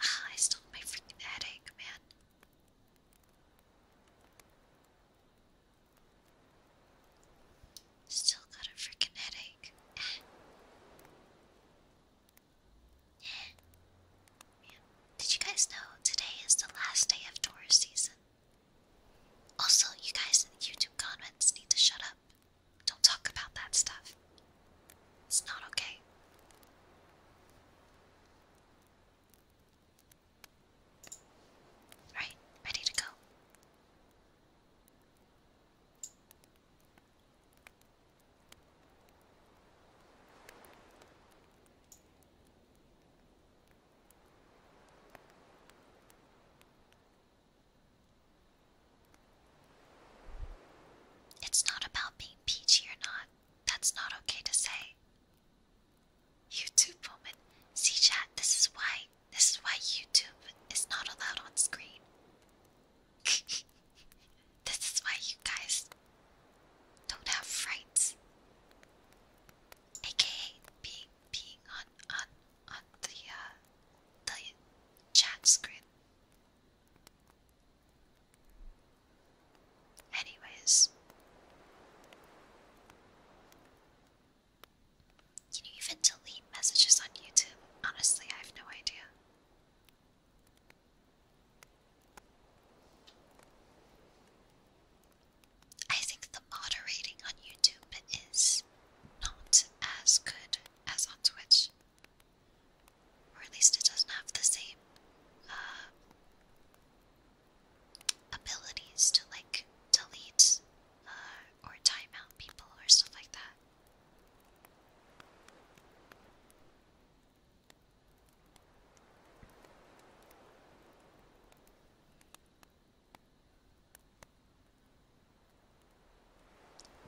I still have my freaking headache, man. Still got a freaking headache. Did you guys know today is the last day of tourist season? Also, you guys in the YouTube comments need to shut up. Don't talk about that stuff. It's not okay. Right, ready to go. It's not about being peachy or not. That's not okay to say. YouTube woman, see chat, this is why this is why YouTube is not allowed on screen this is why you guys don't have frights. AKA being being on on on the uh, the chat screen. Anyways, can you even delete messages on YouTube? Honestly, I have no idea. I think the moderating on YouTube is not as good as on Twitch. Or at least it doesn't have the same uh, abilities to like delete uh, or time out people or stuff like that.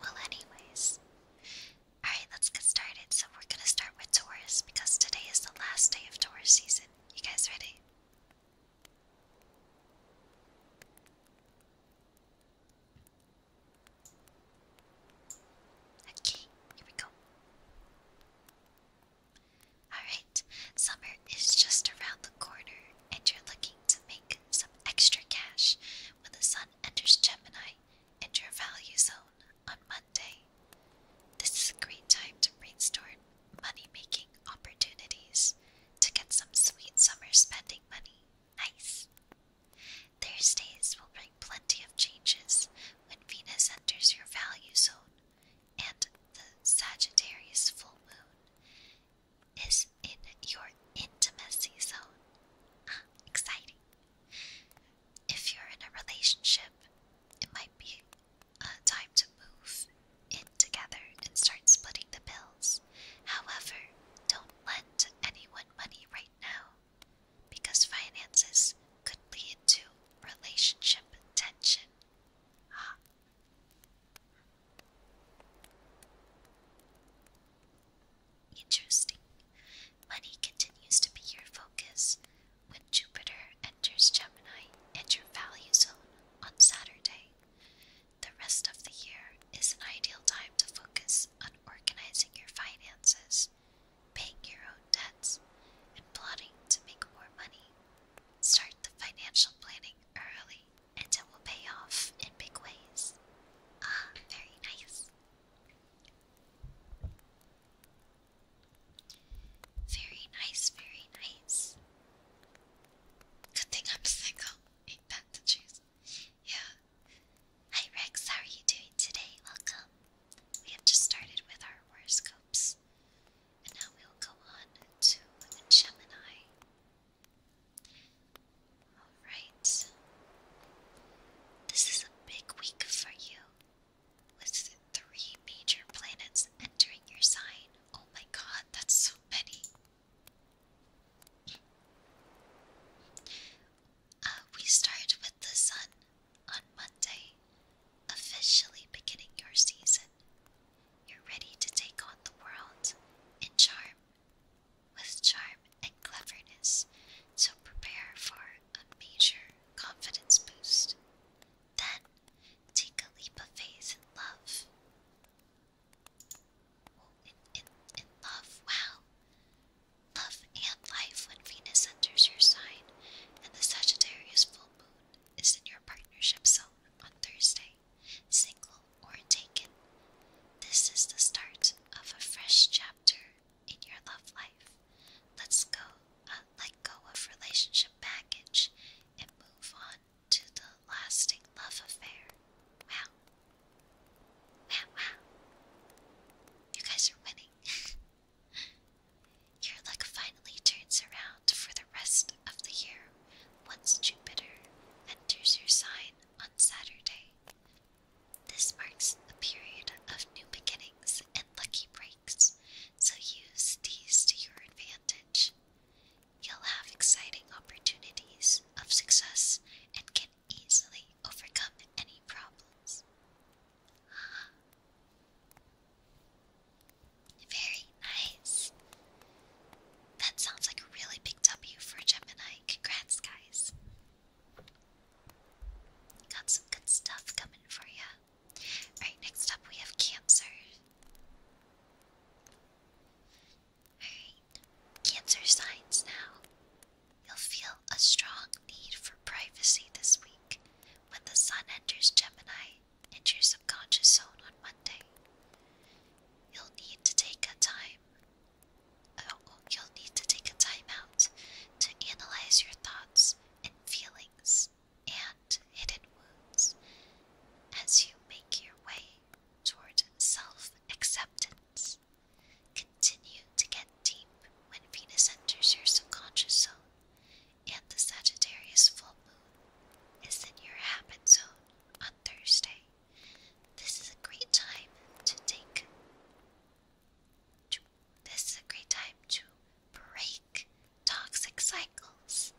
Well, anyways, alright, let's get started. So, we're gonna start with Taurus because today is the last day of Taurus season. You guys ready? Okay, here we go. Alright, summer is just around the corner, and you're looking to make some extra cash when the sun enters Gemini and your value zone on Monday. This is a great time to brainstorm money making opportunities to get some sweet summer spending money. Nice. Thursdays will bring plenty of changes when Venus enters your value zone, and the Sagittarius full moon is in your intimacy zone. Ah, exciting. If you're in a relationship, it might be a time to move in together and start splitting the bills. However, don't lend anyone money right now because finances could lead to relationship tension. Ah. Interesting. Money continues to be your focus when Jupiter enters Gemini and your value zone on Saturday. The rest of the year is an ideal time to focus on organizing your finances paying your own debts, and plotting to make more money. Start the financial planning early, and it will pay off in big ways. Ah, very nice. Very nice, very nice. Good thing I'm single. Ain't that the truth? Yeah. Hi Rex, how are you doing today? Welcome. We have just started with our horoscopes. And now we will go on to Gemini. Alright. This is a big week for you. With three major planets entering your sign. Oh my god, that's so many. Uh, we start with the sun on Monday, officially beginning your season, you're ready to take on the world in charm, with charm and cleverness, so prepare for a major confidence boost. Then, take a leap of faith in love. in, in, in love, wow. Love and life when Venus enters your sign and the Sagittarius full moon is in your partnership zone on Thursday, single or taken. This is the start of a fresh chapter in your love life. Let's go, uh, let go of relationship baggage and move on to the lasting love affair. Wow. Wow, wow. You guys are winning. (laughs) Your luck finally turns around for the rest of the year once Jupiter enters your sign on Saturday. This marks a period of new beginnings and lucky breaks, so use these to your advantage. You'll have exciting opportunities of success and can easily overcome any problems. Very nice. That sounds like a really big W for Gemini. Congrats, guys. Got some good stuff coming for you. Alright, next up we have Cancer. Alright, Cancer signs now. You'll feel a strong need for privacy this week when the sun enters Gemini into your subconscious zone on Monday. You'll need to take a time. Oh, you'll need to take a time out to analyze your thoughts and feelings and hidden wounds as you make your way toward self acceptance continue to get deep when Venus enters your subconscious zone, and the Sagittarius full moon is in your habit zone on Thursday. This is a great time to take. this is a great time to break toxic cycles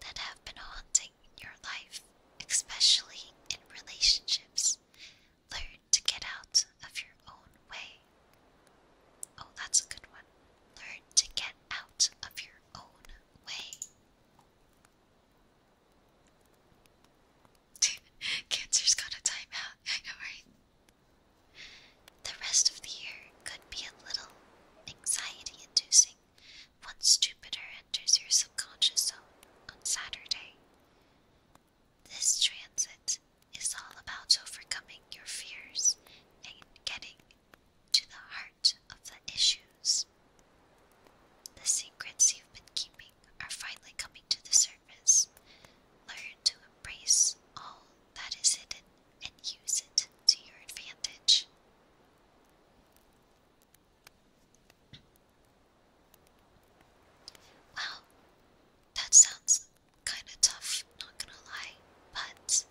that have been haunting your life, especially in relationships. Learn to get out of your own way. Oh, that's a good one. Learn to get out of your own way. (laughs) Cancer's got a timeout, (laughs) I know, right? The rest of the year could be a little anxiety inducing once Jupiter enters your subconscious on Saturday. This transit is all about overcoming your fears and getting to the heart of the issues. The secrets you've been keeping are finally coming to the surface. Learn to embrace all that is hidden and use it to your advantage. Wow, that sounds kind of tough, not gonna lie, but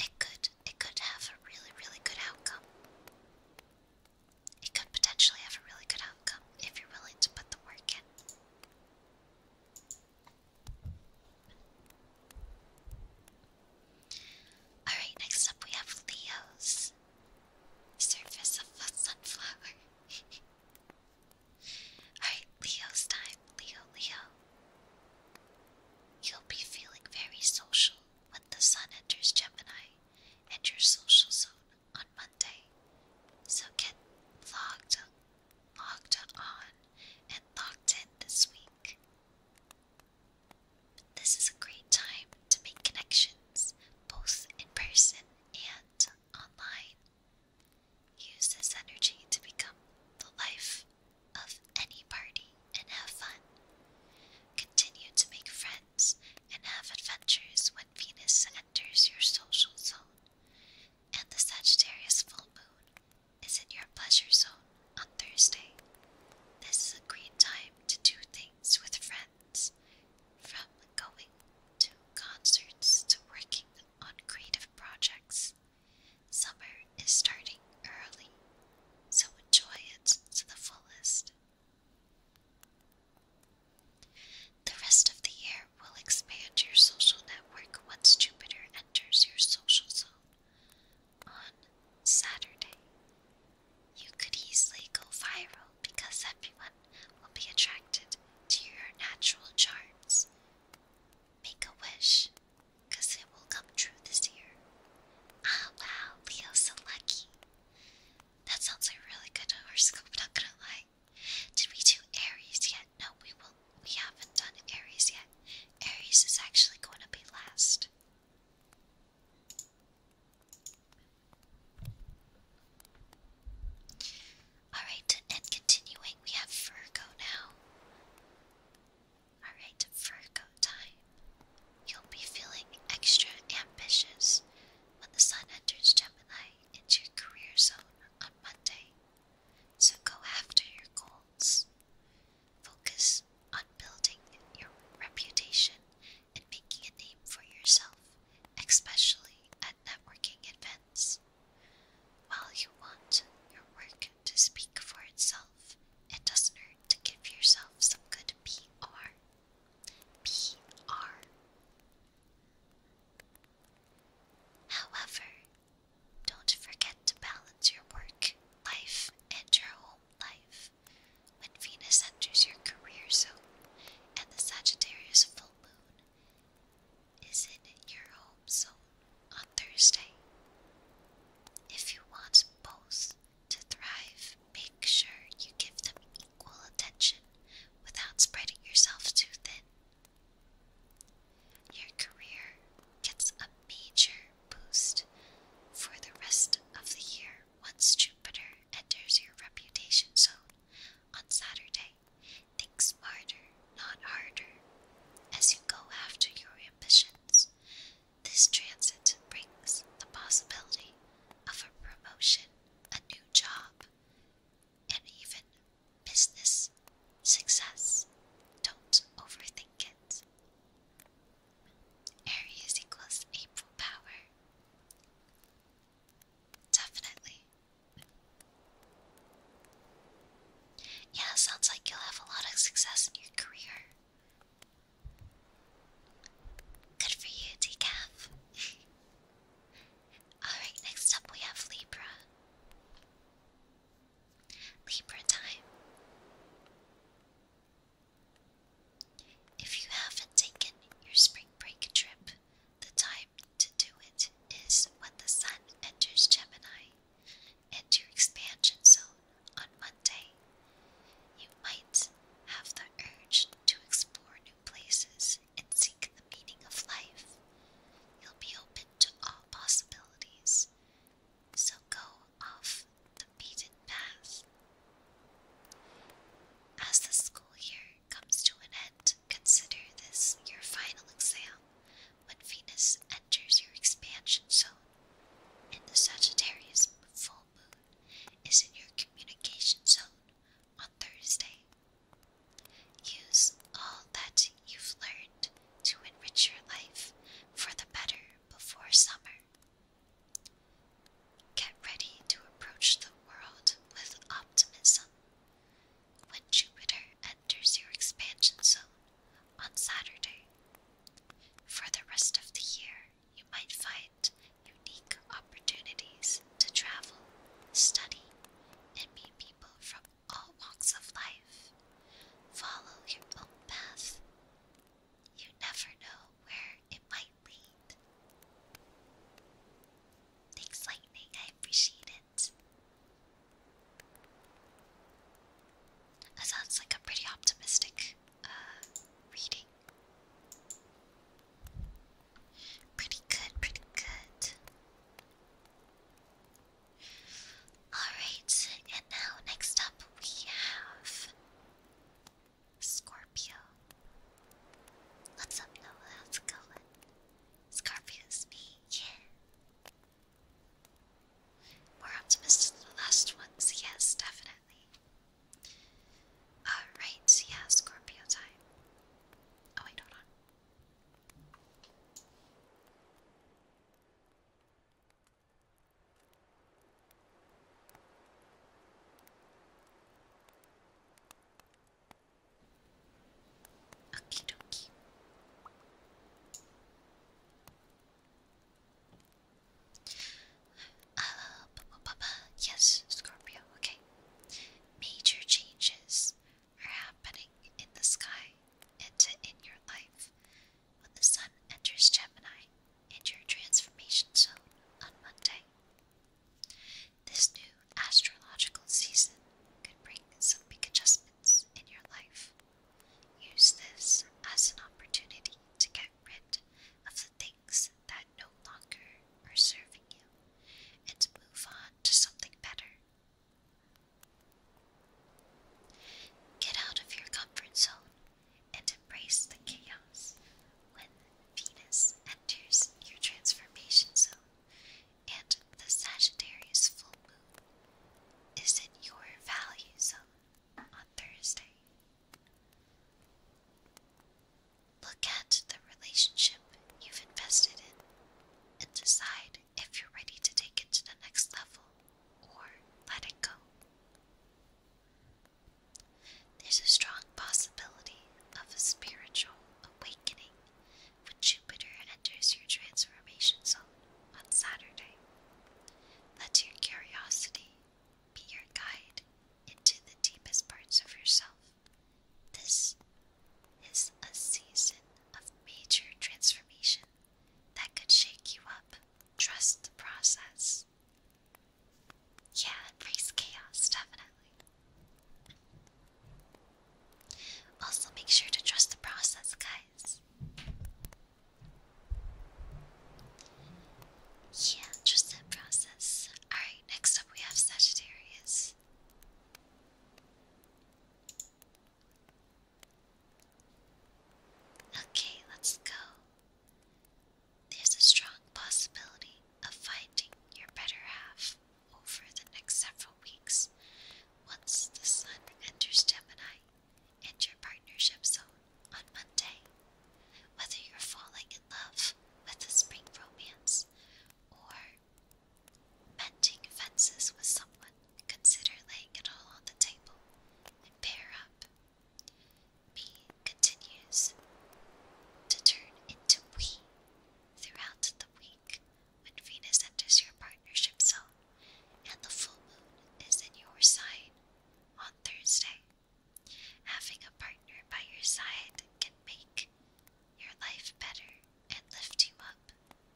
it could it could have a really really good outcome. It could potentially have a really good outcome if you're willing to put the work in. Alright, next up we have Leo's Surface of a Sunflower. (laughs) Alright, Leo's time. Leo, Leo. You'll be feeling very social when the sun enters Gemini and your social zone on Monday. So get logged, logged on and locked in this week. This is a great time to make connections both in person and online. Use this energy to become the life of any party and have fun. Continue to make friends and have adventures when Venus enters your social zone and the Sagittarius full moon is in your pleasure zone on Thursday. This is a great time to do things with friends from going to concerts to working on creative projects. Summer is starting early, so enjoy it to the fullest. The rest of the year will expand your social network once Jupiter enters your social zone. On Saturday, you could easily go viral because everyone will be attracted to your natural charms. Make a wish, because it will come true this year. Ah, wow, Leo's so lucky. That sounds like a really good horoscope, not gonna lie. Did we do Aries yet? No, we will. We haven't done Aries yet. Aries is actually going to be last. Alright, and continuing, we have Virgo now. Alright, Virgo time. You'll be feeling extra ambitious when the sun enters Gemini into your career zone on Monday. So go after your goals. Focus on building your reputation and making a name for yourself especially at networking events. While you want your work to speak for itself, it doesn't hurt to give yourself some good PR. PR. However, don't forget to balance your work life and your home life. When Venus enters your career zone and the Sagittarius full moon is in your home zone on Thursday. If you want both to thrive, make sure you give them equal attention without spreading yourself too thin. Your career gets a major boost for the rest of the year once Jupiter enters your reputation zone on Saturday. Think smarter, not harder. As you go after your ambitions, this transit brings the possibility of a promotion, a new job, and even business success. Don't overthink it. Aries equals April power. Definitely, yeah, sounds like you'll have a lot of success in your career. Good for you, Decaf. (laughs) Alright, next up we have Libra. Libra time. If you haven't taken your spring break trip, the time to do it is when the Sun enters Gemini and your expansion zone on Monday. You might have the urge to explore new places and seek the meaning of life. You'll be open to all possibilities, so go off the beaten path. As the school year comes to an end, consider this your final exam when Venus enters your expansion zone and the Sagittarius full moon is in your communication zone on Thursday. Use all that you've learned to enrich your life for the better before summer. Get ready to approach the world with optimism when Jupiter enters your expansion zone on Saturday. For the rest of the year, you might find unique opportunities to travel, study, and meet people from all walks of life. Follow your own path. You never know where it might lead. Thanks, Lightning. I appreciate it. That sounds like a pretty optimistic uh, reading. Pretty good, pretty good. Alright, and now next up we have Scorpio. What's up, Noah? How's it going? Scorpius me, yeah. More optimistic than the last ones, yes, definitely. Alright, yeah, Scorpio time. Oh, wait, hold on. Okie dokie. Uh, b -b yes, Scorpio, okay. Major changes are happening in the sky and in your life when the sun enters Gemini and your transformation zone on Monday. This new astrological season could bring some big adjustments in your life. Use this as an opportunity to get rid of the things that no longer are serving you and move on to something better. Get out of your comfort zone and embrace the chaos when Venus enters your transformation zone and the Sagittarius full moon is in your value zone on Thursday. Look at the relationship you've invested in and decide if you're ready to take it to the next level or let it go. There's a strong possibility of a spiritual awakening Jupiter enters your transformation zone on Saturday. Let your curiosity be your guide into the deepest parts of yourself. This is a season of major transformation that could shake you up. Trust the process. Yeah, embrace chaos, definitely. Also, make sure to trust the process, guys. Yeah, trust that process. Alright, next up we have Sagittarius. Okay, let's go. There's a strong possibility of finding your better half over the next several weeks once the sun enters Gemini and your partnership zone on Monday. Whether you're falling in love with a spring romance or mending fences with someone, consider laying it all on the table and pair up. B continues to turn into we throughout the week when Venus enters your partnership zone and the full moon is in your sign on Thursday. Having a partner by your side can make your life better and lift you up.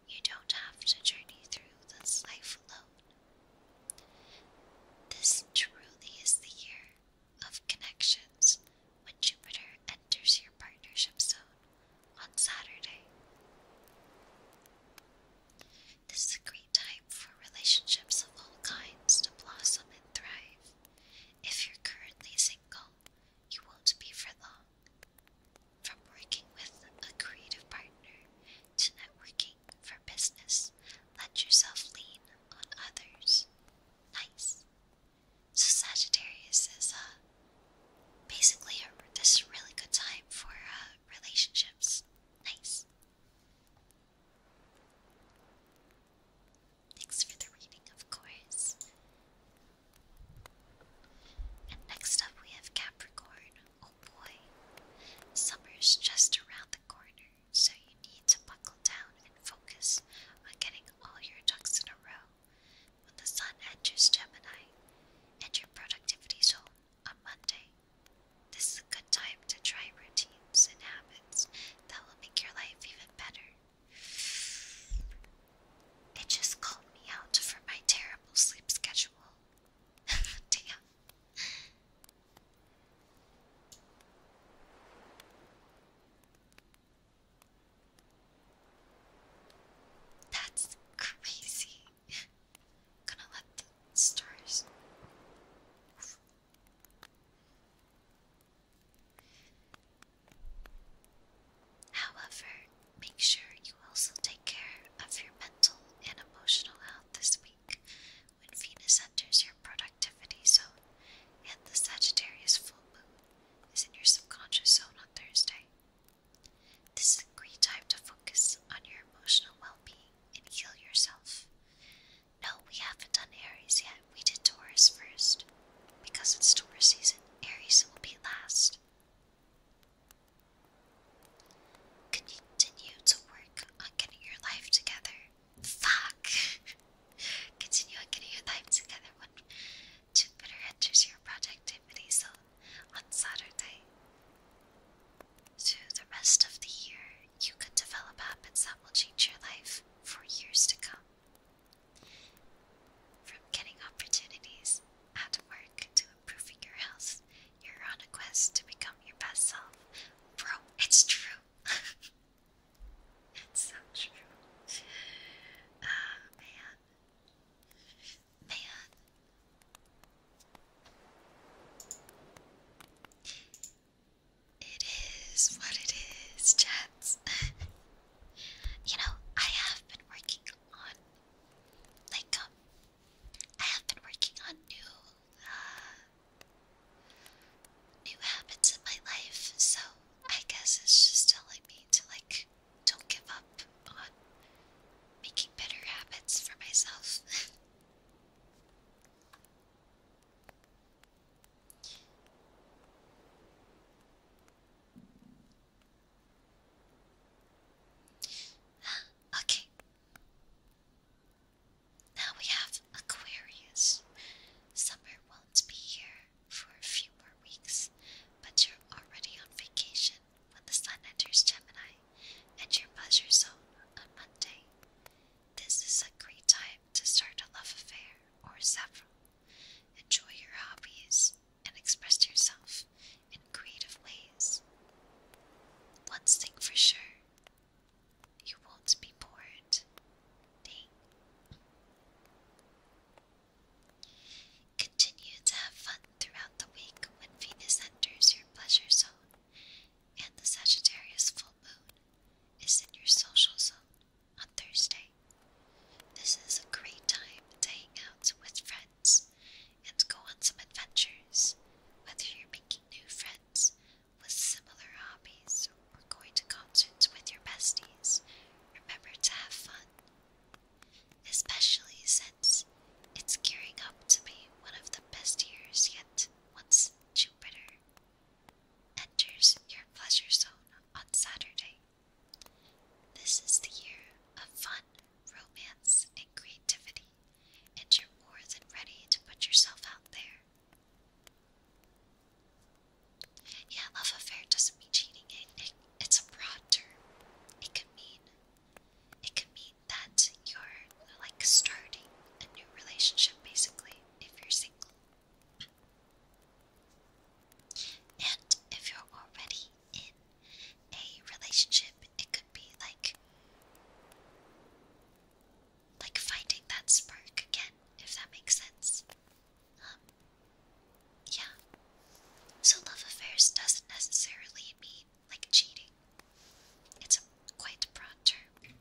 You don't have to journey through this life alone. This truly is the year of connections when Jupiter enters your partnership zone on Saturday. This is a great time for relationships of all kinds to blossom and thrive. If you're currently single, you won't be for long. From working with a creative partner to networking for business, let yourself lean on others. Nice. So Sagittarius is uh, basically a, this really good time for uh, relationships. Nice. Thanks for the reading, of course. And next up, we have Capricorn. Oh boy, summer's just around the corner, so you need to buckle down and focus on getting all your ducks in a row when the Sun enters Gemini and your productivity zone on Monday. This is a good time to try routines and habits that will make your life even better. It just called me out for my terrible sleep schedule. (laughs) Damn. That's crazy. Gonna let the stars. However, make sure you also take care of your mental and emotional health this week when Venus enters your productivity zone and the Sagittarius full moon is in your subconscious zone on Thursday. This is a great time to focus on your emotional well being and heal yourself. No, we haven't done Aries yet. We did Taurus first. Because it's Taurus season, Aries will be last. Continue to work on getting your life together. Fuck! (laughs) Continue on getting your life together. When Jupiter enters your productivity zone on Saturday. Through the rest of the year, you can develop habits that will change your life for years to come. From getting opportunities at work to improving your health, you're on a quest to become your best self. Bro, it's true. (laughs) it's so true. man. Um, Man. It is what it is, chats. (laughs) you know, I have been working on, like, um, I have been working on new, uh, new habits in my life, so I guess it's just telling me to, like, don't give up on making better habits for myself. (laughs) okay. Now we have Aquarius. Summer won't be here for a few more weeks, but you're already on vacation when the sun enters Gemini and your pleasure zone on Monday. This is a great time to start a love affair or several. Enjoy your hobbies and express yourself in creative ways. One thing for sure you won't be bored. Ding. Continue to have fun throughout the week when Venus enters your pleasure zone and the Sagittarius full moon is in your social zone on Thursday. This is a great time to hang out with friends and go on some adventures, whether you're making new friends with similar hobbies or going to concerts with your besties. Remember to have fun especially since it's gearing up to be one of the best years yet once Jupiter enters your pleasure zone on Saturday. This is the year of fun, romance, and creativity, and you're more than ready to put yourself out there. Yeah, love affair doesn't mean cheating it's a broad term. It can mean it can mean that you're like starting a new relationship basically if you're single. And if you're already in a relationship, it could be like like finding that spark again, if that makes sense. Um, yeah. So love affairs doesn't necessarily mean like cheating. It's a quite broad term.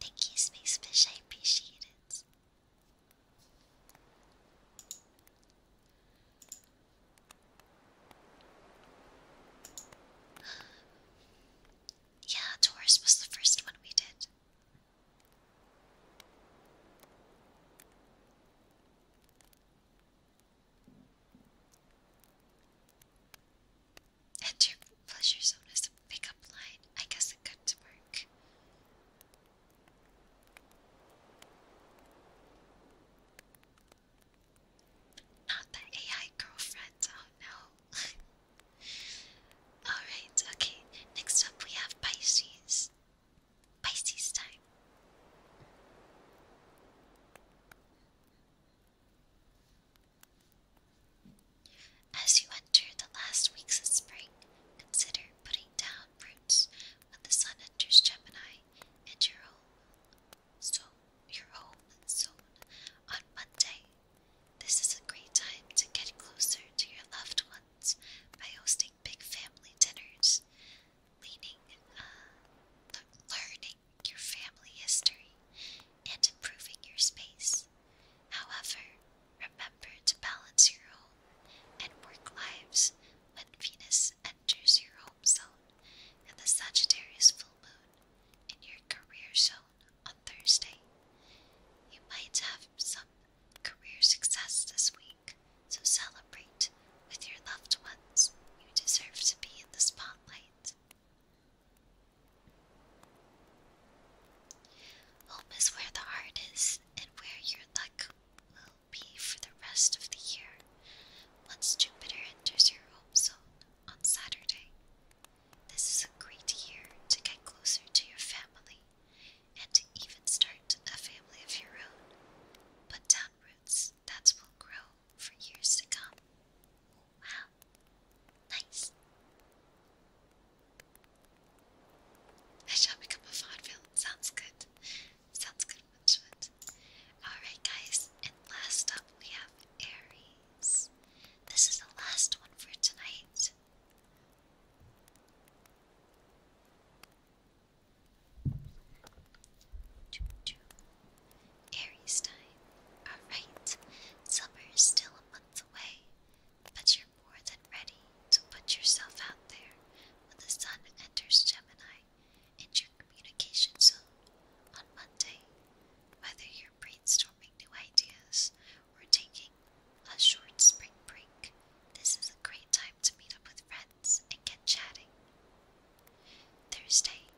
Thank you, Space Fish, I appreciate it. (gasps) Yeah, Taurus was the first one we did. Enter pleasure zone as a pickup line. I guess it could work. Not the AI girlfriend, oh no. (laughs) Alright, okay. Next up we have Pisces. Pisces time. As you enter the last weeks of spring, consider putting down roots when the sun enters Gemini and your home, so your home zone on Monday. This is a great time to get closer to your loved ones by hosting big family dinners, uh, learning your family history, and improving your space. However, remember to balance your home and work lives when Venus enters your home zone and the Sagittarius full moon in your career zone on Thursday. You might have some career success this week, so celebrate with your loved ones. You deserve to be in the spotlight. Home is where the heart is and where your luck will be for the rest of the year once Jupiter enters your home zone on Saturday. This is a great year to get closer to your family and even start a family of your own, but down roots that will grow for years to come. Wow, nice. I shall become a vaudeville. Sounds good. Sounds good, Alright, guys, and last up we have Aries. This is the last one for tonight. Aries time. Alright, summer is still a month away, but you're more than ready to put yourself out there when the sun enters Gemini and your communication zone on Monday. Whether you're brainstorming new ideas we're taking a short spring break. This is a great time to meet up with friends and get chatting. Thursday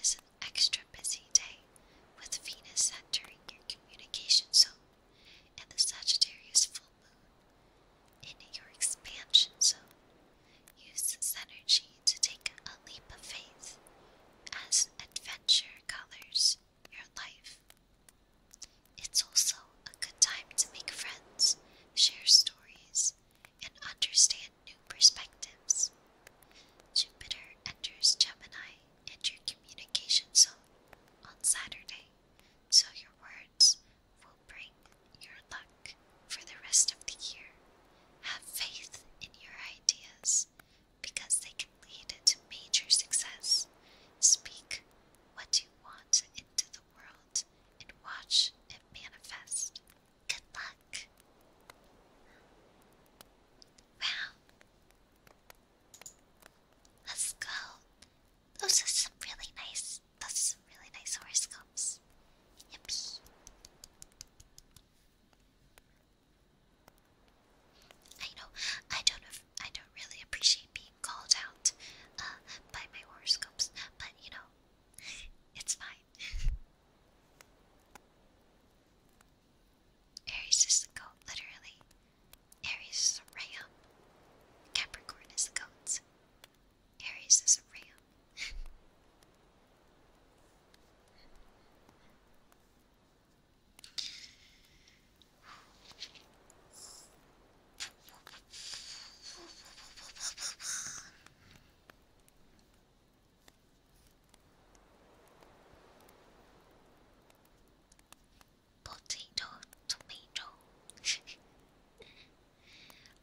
is an extra busy day with Venus entering your communication zone and the Sagittarius full moon in your expansion zone. Use this energy to take a leap of faith as adventure colors your life. It's also a good time to make friends, share stories, and understand new perspectives. Jupiter enters Gemini and your communication zone on Saturday, so your words will bring your luck for the rest of the year. Have faith in your ideas because they can lead to major success. Speak what you want into the world and watch it manifest. Good luck! Wow! Let's go! Those are some really nice, those are some really nice horoscopes. Yippee! I know, I don't, I don't really appreciate being called out uh, by my horoscopes, but you know, it's fine. (laughs) Aries is a goat, literally. Aries is a ram. Capricorn is the Aries is a ram. (laughs) Potato, tomato. (laughs)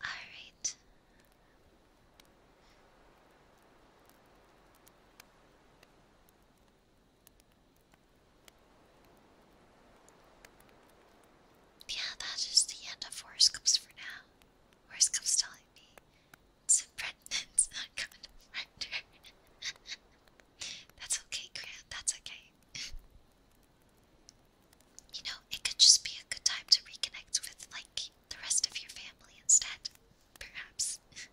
All right. Yeah, that is the end of horoscopes for now. Horoscopes telling me it's a not coming to render. (laughs) That's okay, Grant, that's okay. (laughs) you know, it could just be a good time to reconnect with, like, the rest of your family instead, perhaps. (laughs)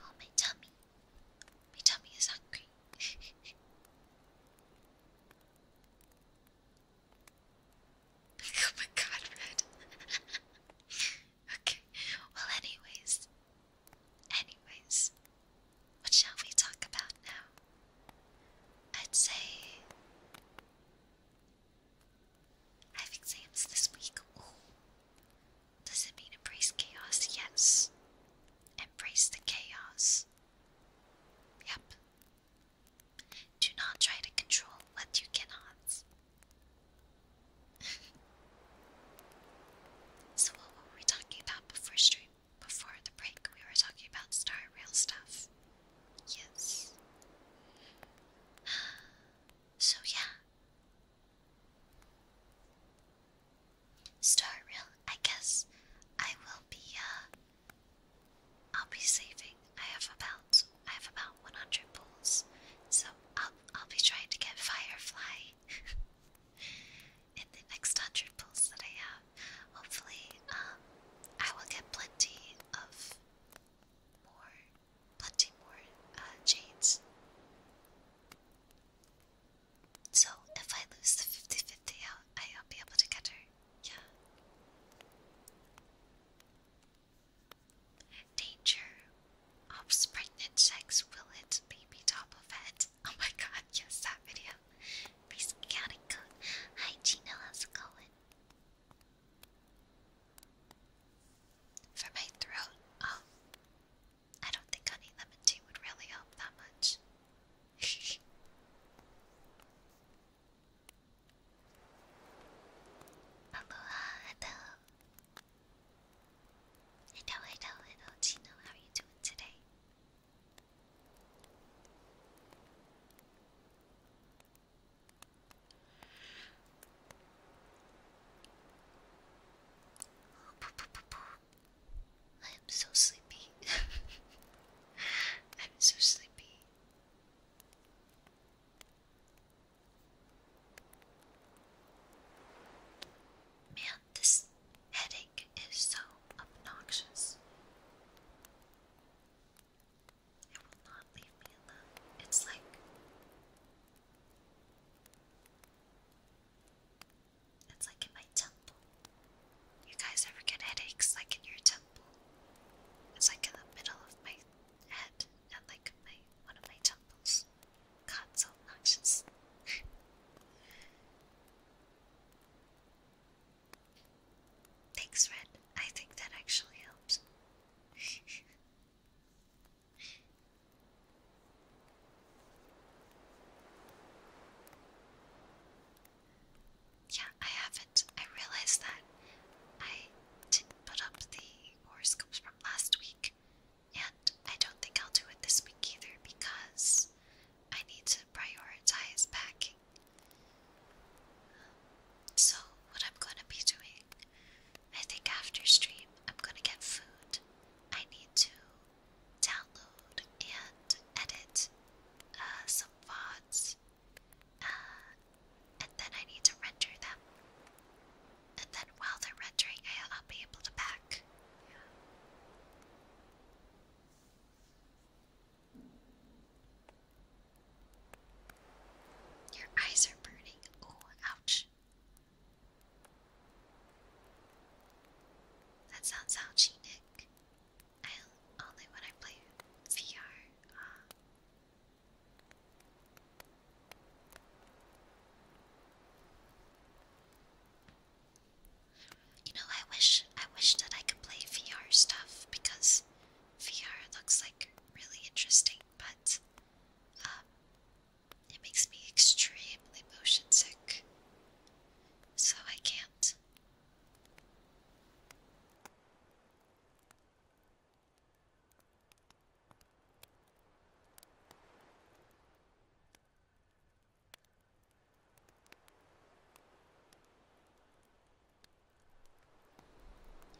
Oh, my tummy. My tummy is hungry. (laughs) oh my god, Red. (laughs) okay, well, anyways. Anyways, what shall we talk about now? I'd say I have exams this week. Does it mean embrace chaos? Yes. Embrace the chaos. Yep. Do not try to control what you cannot. (laughs) so, what were we talking about before stream? Before the break, we were talking about Star Rail stuff. Yes. (sighs) So, yeah. Star real, I guess I will be, uh, I'll be saving. I have about, I have about 100 pulls, so I'll, I'll be trying to get Firefly (laughs) in the next 100 pulls that I have. Hopefully, um, I will get plenty of more, plenty more uh, jades. So if I lose the 50-50 I'll be able to get her. Yeah. Danger. Ops pregnant sex will hit baby top of Oh my god, yes, that video. Peace, Hi, Gina, how's it for my throat, oh, I don't think honey lemon tea would really help that much. Aloha, (laughs) hello. Hello, hello, hello, Chino. How are you doing today? I am so sleepy. (laughs) I'm so sleepy. Man, this headache is so obnoxious. It will not leave me alone. It's like it's like in my temple. You guys ever get headaches like in your temple? It's like in the middle of my head and like my one of my temples. God, so obnoxious. (laughs) Thanks, Red. I think that actually helps. yeah, I haven't. I realized that I didn't put up the horoscopes from last week, and I don't think I'll do it this week either because I need to prioritize packing so, what I'm gonna be doing, I think after stream, I'm gonna get food. I need to download and edit uh, some VODs, uh, and then I need to render them. And then while they're rendering, I'll be able to pack. Your eyes are burning. Oh, ouch. That sounds ouchy, Nick. I only when I play VR. Uh. you know, I wish I wish that I could play VR stuff because VR looks like really interesting, but um, it makes me extremely motion sick, so I can't.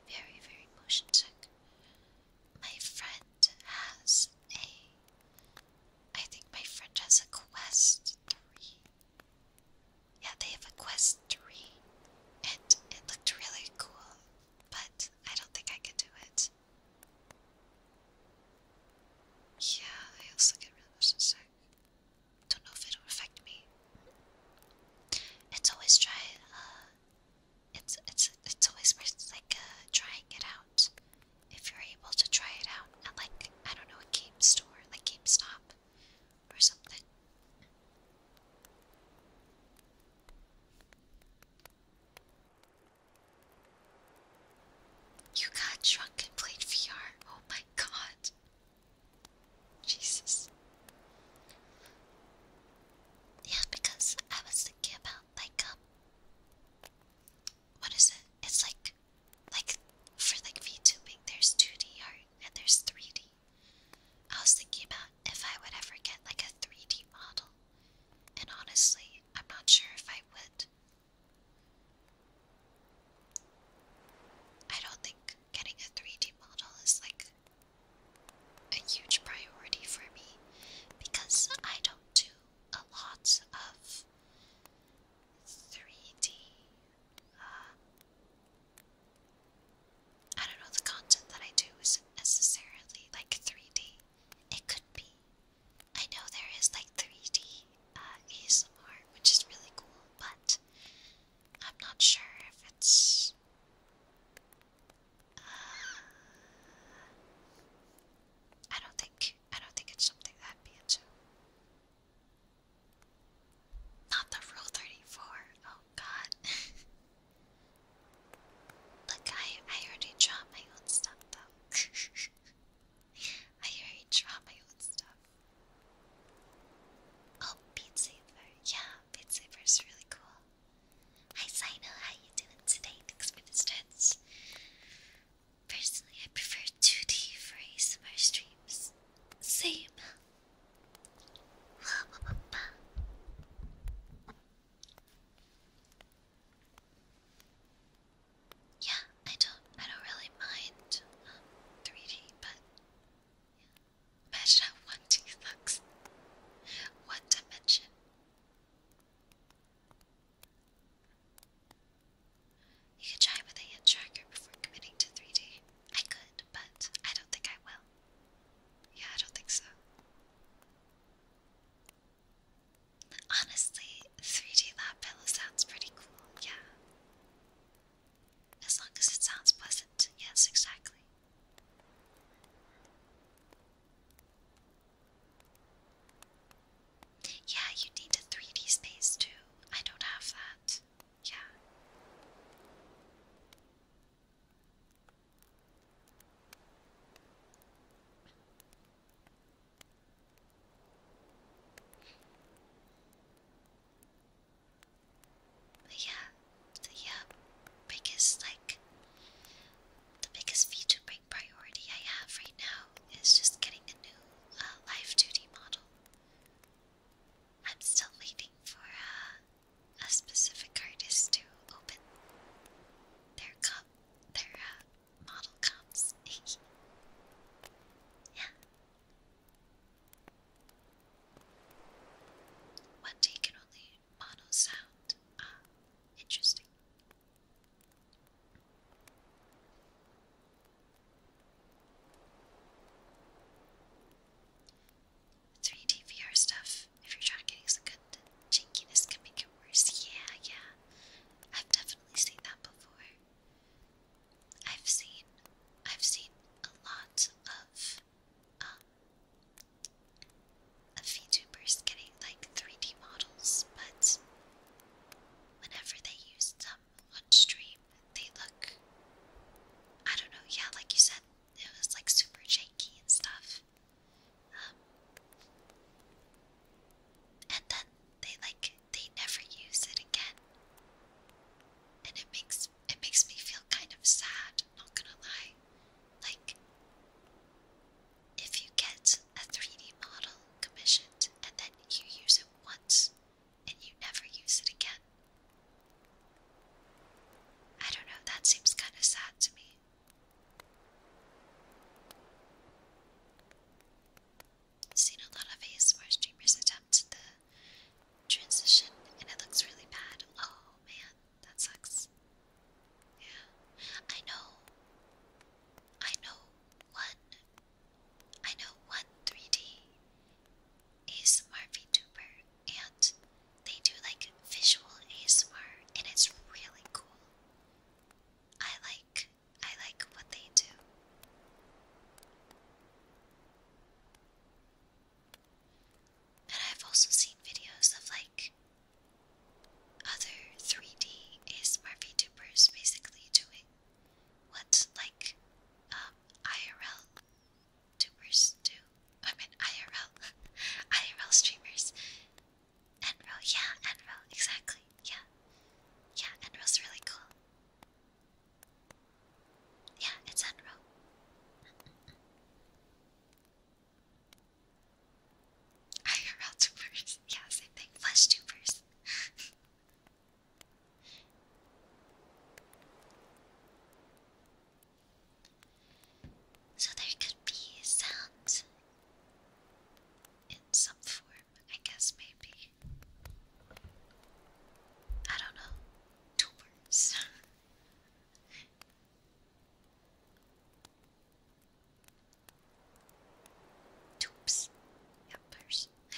Very, very motion sick. My friend has a. I think my friend has a quest three. Yeah, they have a quest three, and it looked really cool, but I don't think I could do it. Yeah, I also get really motion sick. Don't know if it'll affect me. It's always trying. Uh, it's it's it's always like uh, trying it out. If you're able to try it out at like I don't know a game store, like GameStop or something. You got drunk and played VR. Oh my god. Jesus. Yeah, because I was thinking about like um, what is it? It's like like for like VTubing there's 2D art and there's 3D. I was thinking about if I would ever get like a 3D model. And honestly, I'm not sure if I would. I don't think getting a 3D model is like a huge priority for me because I don't do a lot of 3 D. Uh, don't know, the content that I do isn't necessarily like 3D. It could be. I know there is like 3D uh, ASMR, which is really cool, but I'm not sure if it's I don't think I don't think it's something that be into. Not the rule thirty-four. Oh god. (laughs) Look, I I already draw my own stuff though. (laughs) I already draw my own stuff. Oh, Beat Saber. Yeah, Beat Saber is really cool. Hi Sino, how you doing today? Thanks for the stretch. Personally, I prefer 2D for my streams. Same. Yeah, I don't, I don't really mind 3D, um, but Imagine how one teeth looks. One dimension. You could try with a hand tracker before committing to 3D. I could, but I don't think I will. Yeah, I don't think so. Honestly, 3D lab pillow sounds pretty cool, yeah. As long as it sounds pleasant, yes, exactly. Yeah, you need a 3D space too. I don't have that. Yeah. But yeah, yeah, biggest like the biggest VTubing priority I have right now is just getting a new uh, duty model. I'm still waiting for uh, a specific artist to open their com their uh, model comps. (laughs) yeah. One day can only mono sound. Ah, interesting. 3D stuff, if you're good jinkiness, can make worse. Yeah, yeah. I've definitely seen that before. I've seen I've seen a lot of um, of VTubers getting like 3D models, but whenever they use them on stream, they look, I don't know, yeah, like you said, it was like super janky and stuff. Um, and then they like, they never use it again. And it makes it makes me feel kind of sad, not gonna lie. Like if you get a 3D model commissioned and then you use it once and you never use it again. I don't know, that seems kind of sad to me. seen a lot of ASMR streamers attempt the transition and it looks really bad. Oh man that sucks. Yeah. I know. I know one. I know one 3D ASMR VTuber, and they do like visual ASMR, and it's really cool. I like I like what they do. And I've also seen videos of like other 3D ASMR VTubers basically doing what like um, IRL tubers do. I mean IRL, (laughs) IRL streamers. Enro, yeah, Enro, exactly, yeah, yeah, Enro's really cool. Yeah, it's Enro. IRL tubers. (laughs) Yeah, same thing. Flesh tubers. so there could be sounds in some form, I guess, maybe. I don't know. Tubers. (laughs) Oops. Yuppers. (laughs)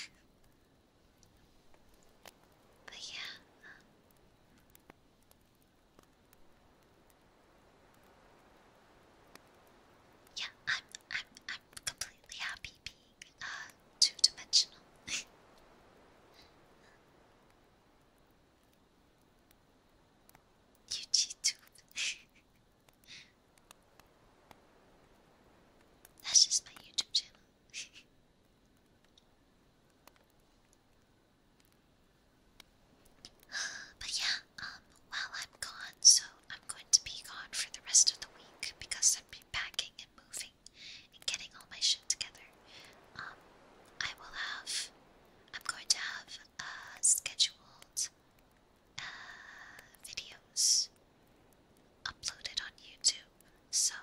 but yeah. Um, yeah, I'm I'm I'm completely happy being uh two dimensional. (laughs) You too. That's just my YouTube channel. (gasps) but yeah, um, while I'm gone, so I'm going to be gone for the rest of the week because I've packing and moving and getting all my shit together. Um, I will have I'm going to have uh, scheduled uh, videos uploaded on YouTube. So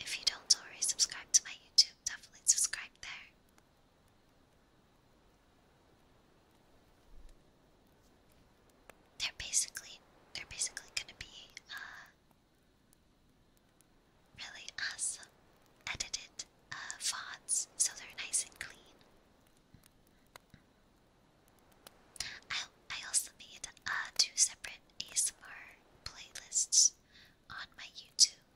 if you don't already subscribe to my YouTube, definitely subscribe there. They're basically they're basically gonna be uh really awesome edited uh, fonts so they're nice and clean. I, I also made uh, two separate ASMR playlists on my YouTube.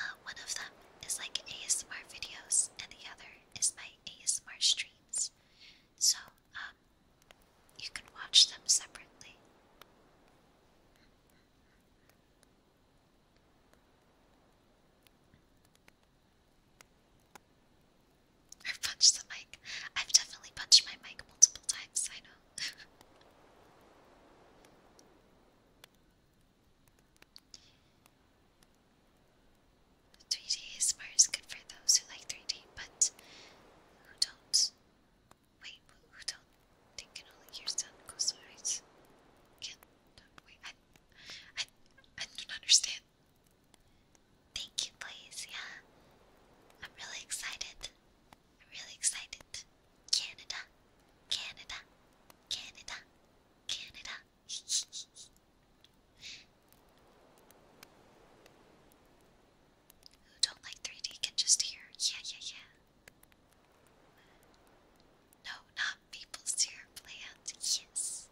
Uh, one of them is like ASMR videos, and the other is my ASMR streams. So, um, you can watch them separately. Or punch the mic. I've definitely punched my mic multiple times, I know. (laughs) Three D is is good for those who like three D, but who don't. Wait, who don't they can only hear sound goes eyes. Can't wait. I, I, I don't understand. Thank you, please. Yeah, I'm really excited. I'm really excited. Canada, Canada, Canada, Canada. (laughs) Who don't like 3D can just hear, yeah, yeah, yeah. No, not maple syrup plant. Yes,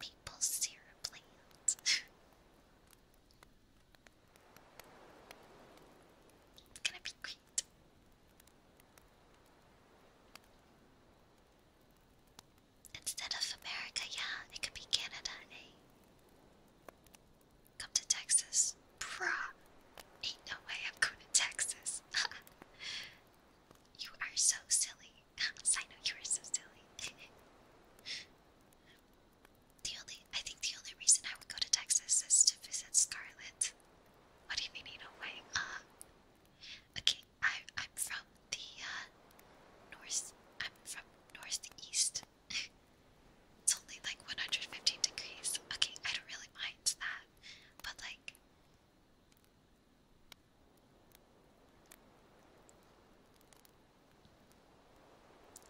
maple syrup plant. (laughs) it's gonna be great. Instead of America, yeah, it could be Canada, eh? Come to Texas. Bruh. Ain't no way I'm going to Texas. (laughs) you are so silly. (laughs) I know you are so silly. (laughs) the only I think the only reason I would go to Texas is to visit Scarlett. What do you mean in way? Uh okay, I I'm from the uh, north I'm from northeast. it's only like 115 degrees. Okay, I don't really mind that. But like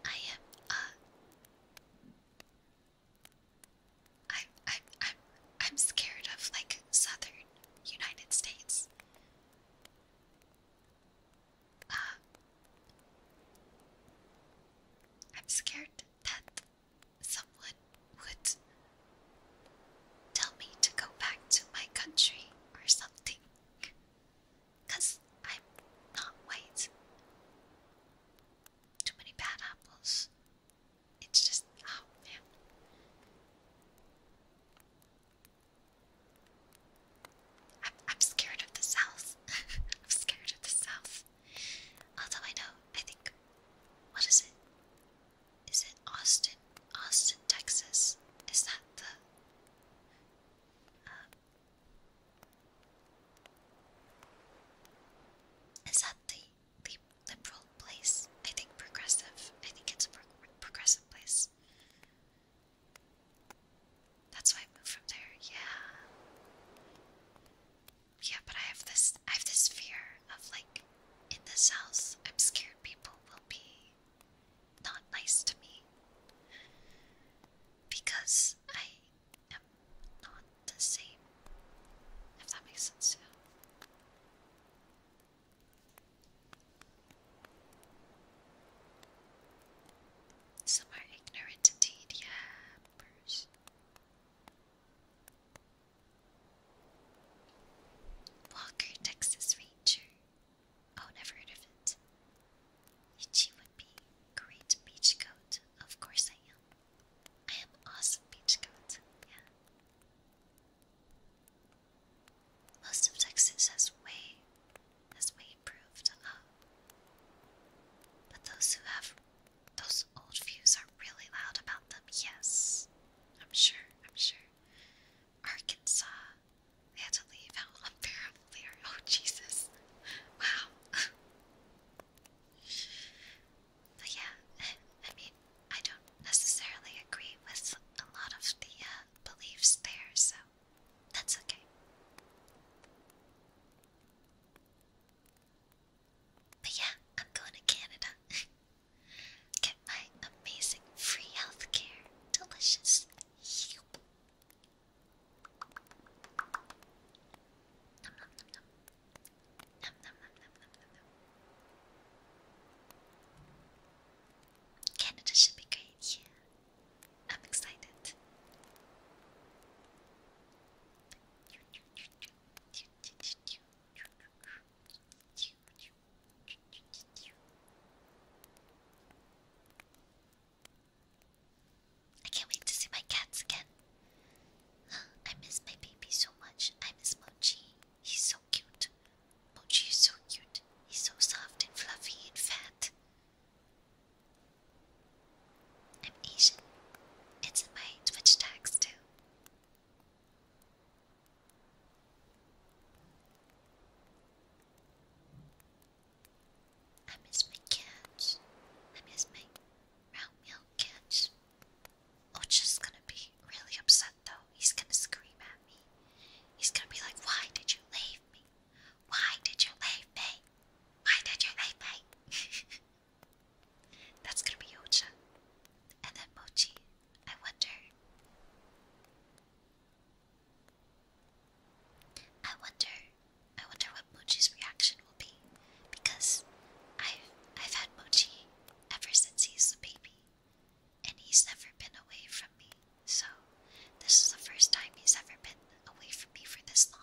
I am uh I'm I'm I'm I'm scared of like southern United States. Uh, I'm scared that someone would tell me to go back to my country or something. I'm not white. Too many bad apples. It's just, oh man. I'm scared of the South. I'm scared of the South. (laughs) Although I know, I think, what is it? Is it Austin? Austin, Texas? Is that the? Um, is that the, the liberal place? I think progressive. I think it's a progressive place. That's why I moved from there. Yeah. Yeah, but I have this I have this fear of like in this house I'm scared people will be not nice to me because I am not the same. If that makes sense to Some are ignorant indeed, yeah. Purse. Walker, Texas Ranger. Oh, never heard of it. Ichi would be great beach coat. Of course I am. I am awesome beach coat. Yeah. Most of Texas has way has way improved. Oh. But those who have those old views are really loud about them, yes. I'm sure, I'm sure. Arkansas. They had to leave. How unbearable they are. Oh, Jesus. Wow. but yeah, I mean, I don't necessarily agree with a lot of the uh, beliefs there, so that's okay. But yeah, I'm going to Canada. (laughs) Get my amazing free healthcare. Delicious. Yup. Canada should be great, yeah. I'm excited. I can't wait to see my cats again. (gasps) I miss my baby so much. I miss Mochi. He's so cute. Mochi is so cute. He's so soft and fluffy and fat. I'm Asian. It's in my Twitch tags too. I miss my cats. I miss my round meal cats. Ocha's gonna be really upset though. He's gonna scream at me. He's gonna be like, Why did you leave me? Why did you leave me? Why did you leave me? (laughs) That's gonna be Ocha. And then Mochi. I wonder. I wonder. I wonder what Mochi's reaction will be. Because I've, I've had Mochi ever since he's a baby. And he's never been away from me. So this is the first time he's ever been away from me for this long.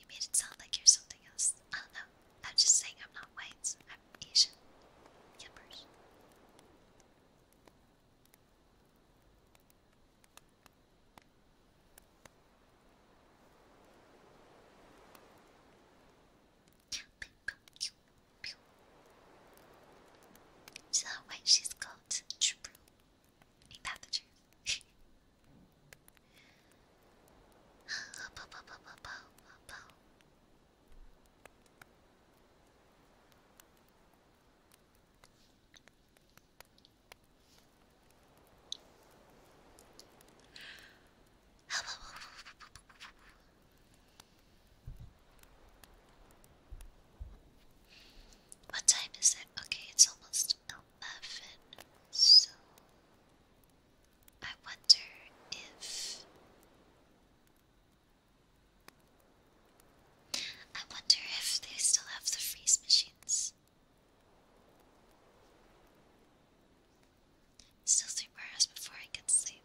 You made it sound like you're something else. I don't know. I'm just saying I'm not white. I'm Asian. Yuppers. See how white she Ain't that the truth? (laughs) What time is it? Okay, it's almost 11. So, I wonder if. I wonder if they still have the freeze machines. Still three hours before I can sleep.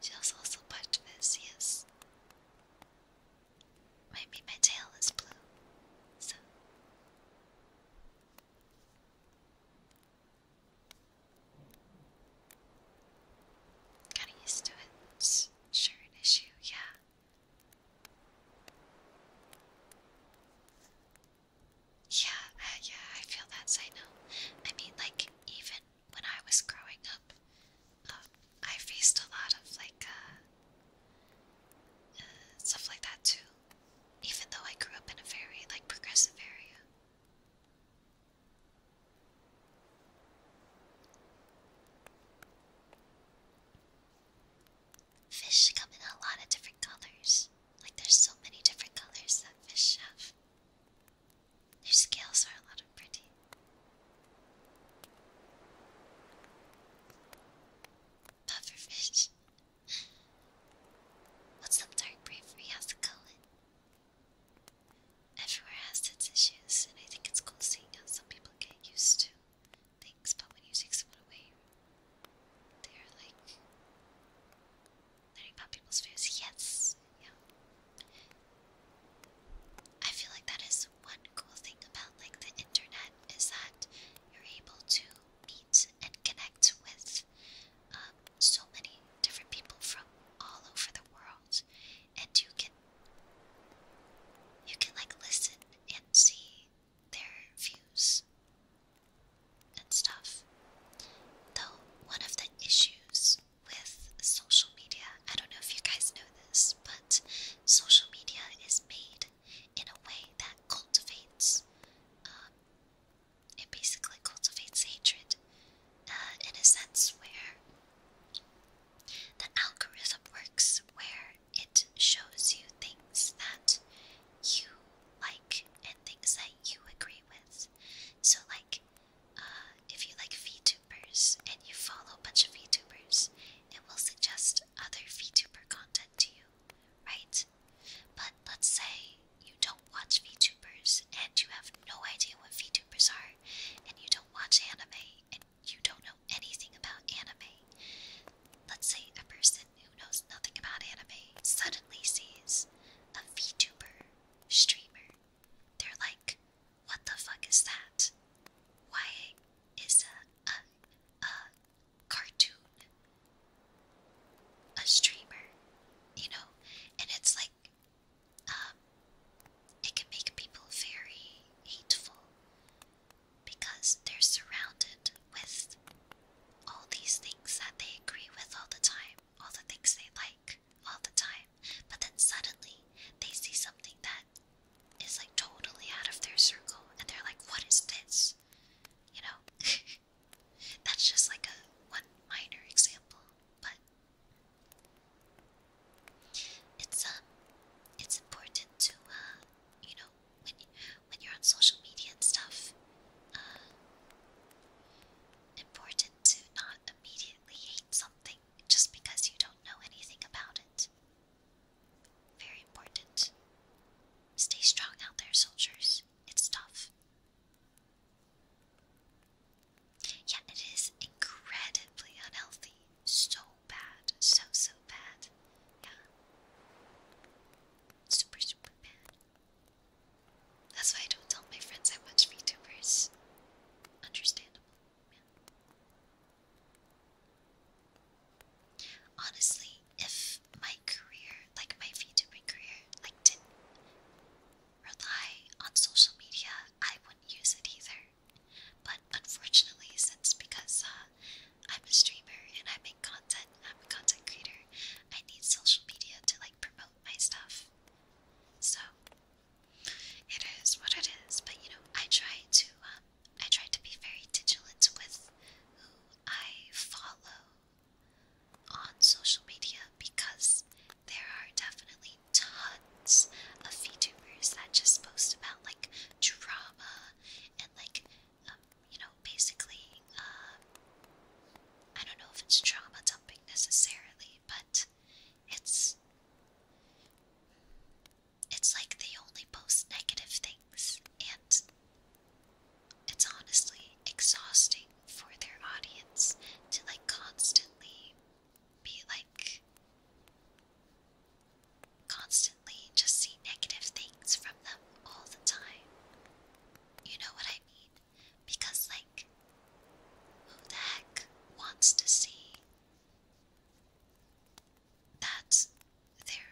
She also also parked this, yes. Maybe my tail is blue, so. Got used to It's sure an issue, yeah. Yeah, uh, yeah, I feel that, I know. I mean, like, even when I was growing up, um, I faced a lot of like uh, uh, stuff like that too, even though I grew up in a very like progressive area. Fish come in a lot of different colors. Like, there's so many different colors that fish have. Their scales are a lot of pretty. Pufferfish. What's up, dark bravery? How's it Everywhere has its issues, and I think it's cool seeing how some people get used to things, but when you take someone away, they're like learning about people's fears. Yes, yeah. I feel like that is one cool thing about like the internet is that you're able to meet and connect with um, so many different people from all over the world, and you can you can like listen and see their views and stuff. Though one of the issues with social media, I don't know if you guys know this, but social media is made in a way that cultivates, um, it basically cultivates hatred uh, in a sense where the algorithm works where it shows you things that you like and things that you agree with. So, like, uh, if you like v and you follow a bunch of YouTubers, it will suggest other VTuber content to you, right? But let's say you don't watch VTubers and you have no idea what VTubers are, and you don't watch anime and you don't know anything about anime. Let's say a person who knows nothing about anime suddenly sees a VTuber streamer. They're like, what the fuck is that? Why is a, a, a cartoon a streamer? You know? And it's like, um, it can make people very hateful because they're surrounded with all these things that they agree with all the time, all the things they like all the time, but then suddenly they see something that is like totally out of their circle and they're like, what is this? You know? (laughs) That's just like a one minor example, but it's um it's important to uh you know when when you're on social media and stuff uh important to not immediately hate something just because you don't know anything about it very important. Stay strong out there, soldiers. It's tough. Yeah, it is incredibly unhealthy. So bad. So, so bad. Yeah. Super, super bad. That's why I don't tell my friends I watch VTubers. Understandable. Honestly, if my career, like my VTuber career, like didn't rely on social media, I wouldn't use it either. But unfortunately, since because uh, I'm a streamer and I make content, I'm a content creator, I need social media to like promote my stuff. So it is what it is, but you know, I try to um, I try to be very vigilant with who I follow on social media because there are definitely tons of VTubers that just post about like drama and like, um, you know, basically, uh, I don't know if it's drama dumping necessarily, but it's it's like they only post negative things, and it's honestly exhausting for their audience to like constantly be like constantly just see negative things from them all the time. You know what I mean? Because, like, who the heck wants to see that their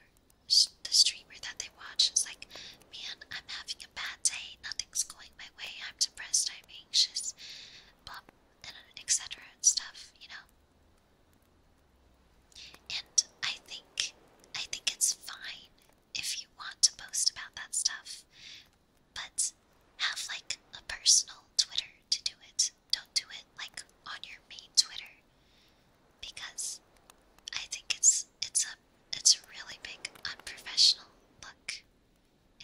the streamer that they watch is like, man, I'm having a bad day. Nothing's going my way. I'm depressed. I'm anxious. Blah, and etc. and stuff. You know. And I think I think it's fine if you want to post about that stuff, but have like a personal Twitter to do it don't do it like on your main Twitter because I think it's it's a it's really big unprofessional look.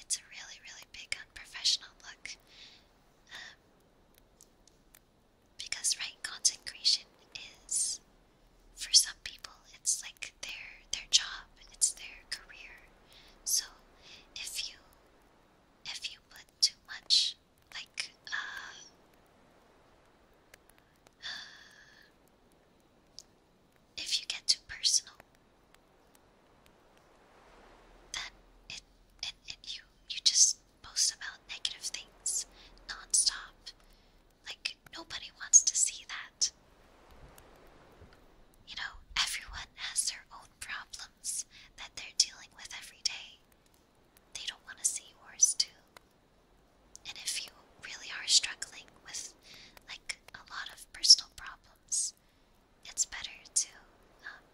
It's a really really big unprofessional look. Um, because right content is for some people it's like their their job, it's their career. So if you if you put too much like uh, if you get too personal then it and, you you just post about negative things non-stop like nobody wants to see that you know everyone has their own problems that they're dealing with every day they don't want to see yours too. And if you really are struggling with like a lot of personal problems, it's better to, um,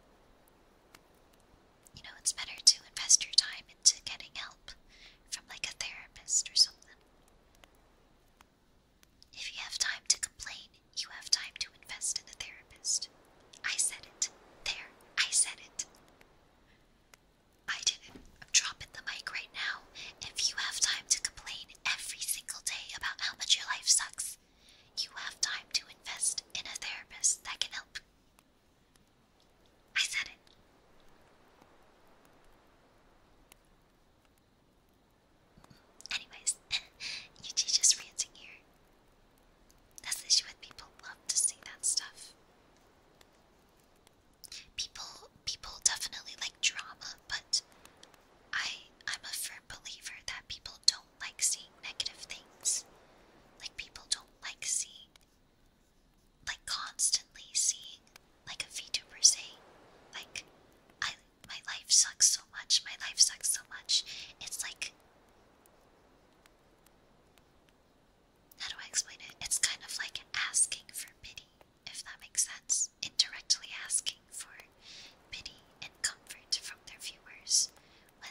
you know, it's better to invest your time into getting help from like a therapist or something. If you have time to complain, you have time to invest in a therapist. I said it. There, I said it. I didn't. I'm dropping the mic right now. If you have time to complain every single day about how much your life sucks, you have time to invest in a therapist that can help. I said it. Anyways, Yuji just ranting here. That's the issue with people love to see that stuff. People people definitely like drama, but I I'm a firm believer that people don't like seeing negative things. Like people don't like seeing like constantly seeing like a VTuber say like I my life sucks so much, my life sucks so much. It's like how do I explain it? It's kind of like asking for pity, if that makes sense. Indirectly asking for pity and comfort from their viewers when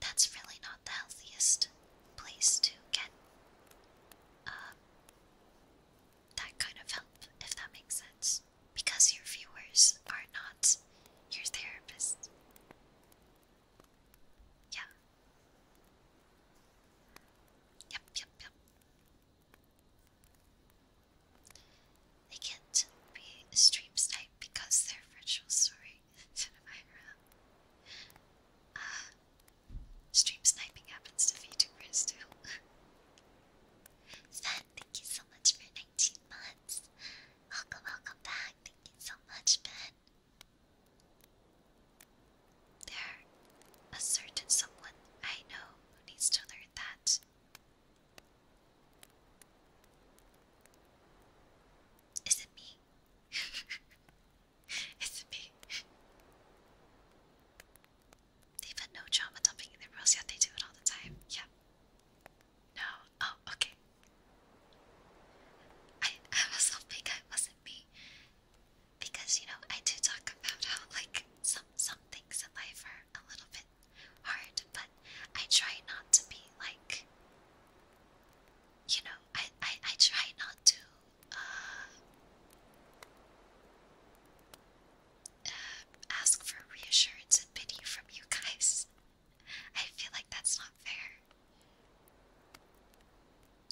that's really not the healthiest place to get um, that kind of help, if that makes sense. Because your viewers are not your therapists. Yeah. Yep, yep, yep. They can't be stream snipe because they're virtual story. (laughs) uh, stream sniping happens to VTubers too. (laughs) Sven, thank you so much for 19 months. Welcome, welcome back. Thank you so much, Ben. There, a certain someone I know who needs to learn that. Is it me? (laughs) Is it me? They've had no trauma dumping in their roles, yet they do it all the time. Yeah. No. Oh, okay. I, I also think I wasn't me. Because, you know, I do talk about how, like, some, some things in life are a little bit hard, but I try not to be, like, you know, I, I, I try not to, uh, uh, ask for reassurance and pity from you guys. I feel like that's not fair.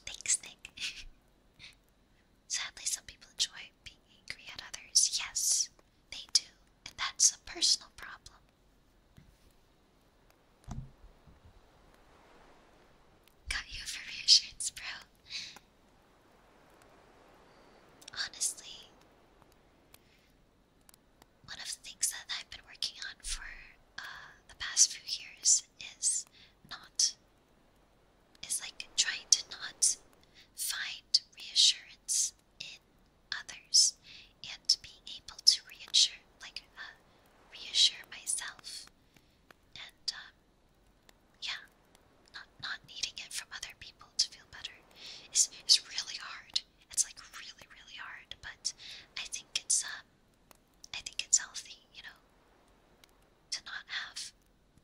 Thanks, Nick. (laughs) Sadly, some people enjoy being angry at others. Yes, they do. And that's a personal problem. Got you for reassurance, bro. Honestly, one of the things that I've been working on for uh, the past few years is not is like trying to not find reassurance in others and being able to reassure like uh, reassure myself and um, yeah not not needing it from other people to feel better is is really hard it's like really really hard but I think it's um I think it's healthy, you know, to not have,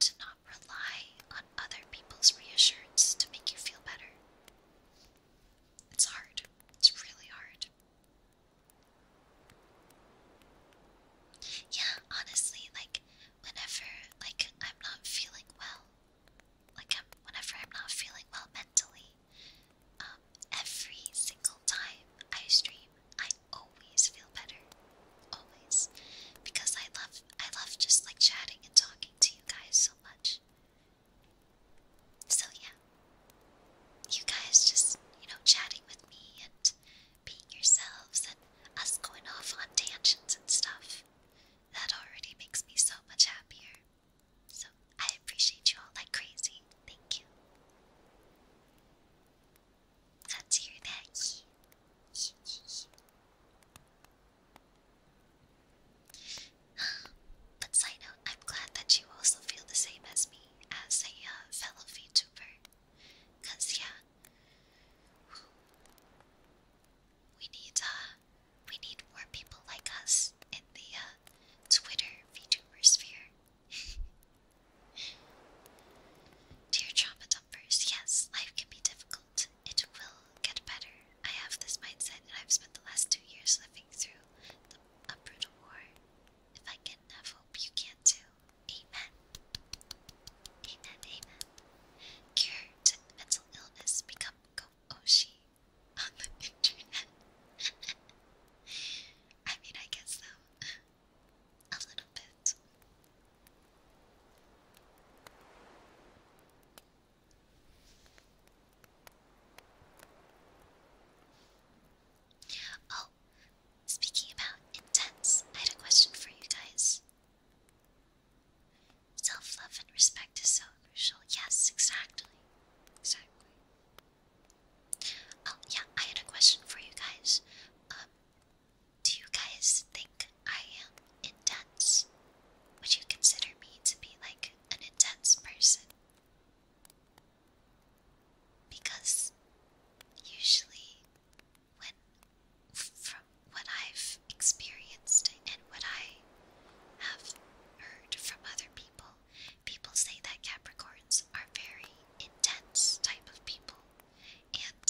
to not rely on other people's reassurance to make you feel better. It's hard. It's really hard. Yeah, honestly, like, whenever, like, I'm not feeling well, like, whenever I'm not feeling well mentally, um, every single time I stream, I always feel better. Always. Because I love I love just like chatting and talking to you guys so much. So yeah. You guys just, you know, chatting with me and being yourselves and us going off on tangents and stuff. That already makes me so much happier. So I appreciate you all like crazy. Thank you. Let's hear that. (gasps) but side note, I'm glad that you also feel the same as me as a uh, fellow VTuber. yeah, we need uh, we need more people like us in the uh, Twitter VTuber sphere. (laughs) Dear trauma dumpers, yes, life can be difficult. It will get better. I have this mindset, and I've spent the last two years living through the, a brutal war. If I can have hope, you can too. Amen. Amen, amen. Cure mental illness, become Go on the internet. I mean, I guess so. (laughs) A little bit. Oh, speaking about intense, I had a question for you guys. Self love and respect is so crucial. Yes, exactly. Exactly. Oh yeah, I had a question for you guys. Um, do you guys think I am intense? Would you consider me to be like an intense person? Because usually, when from what I've experienced and what I have heard from other people, people say that Capricorns are very intense type of people, and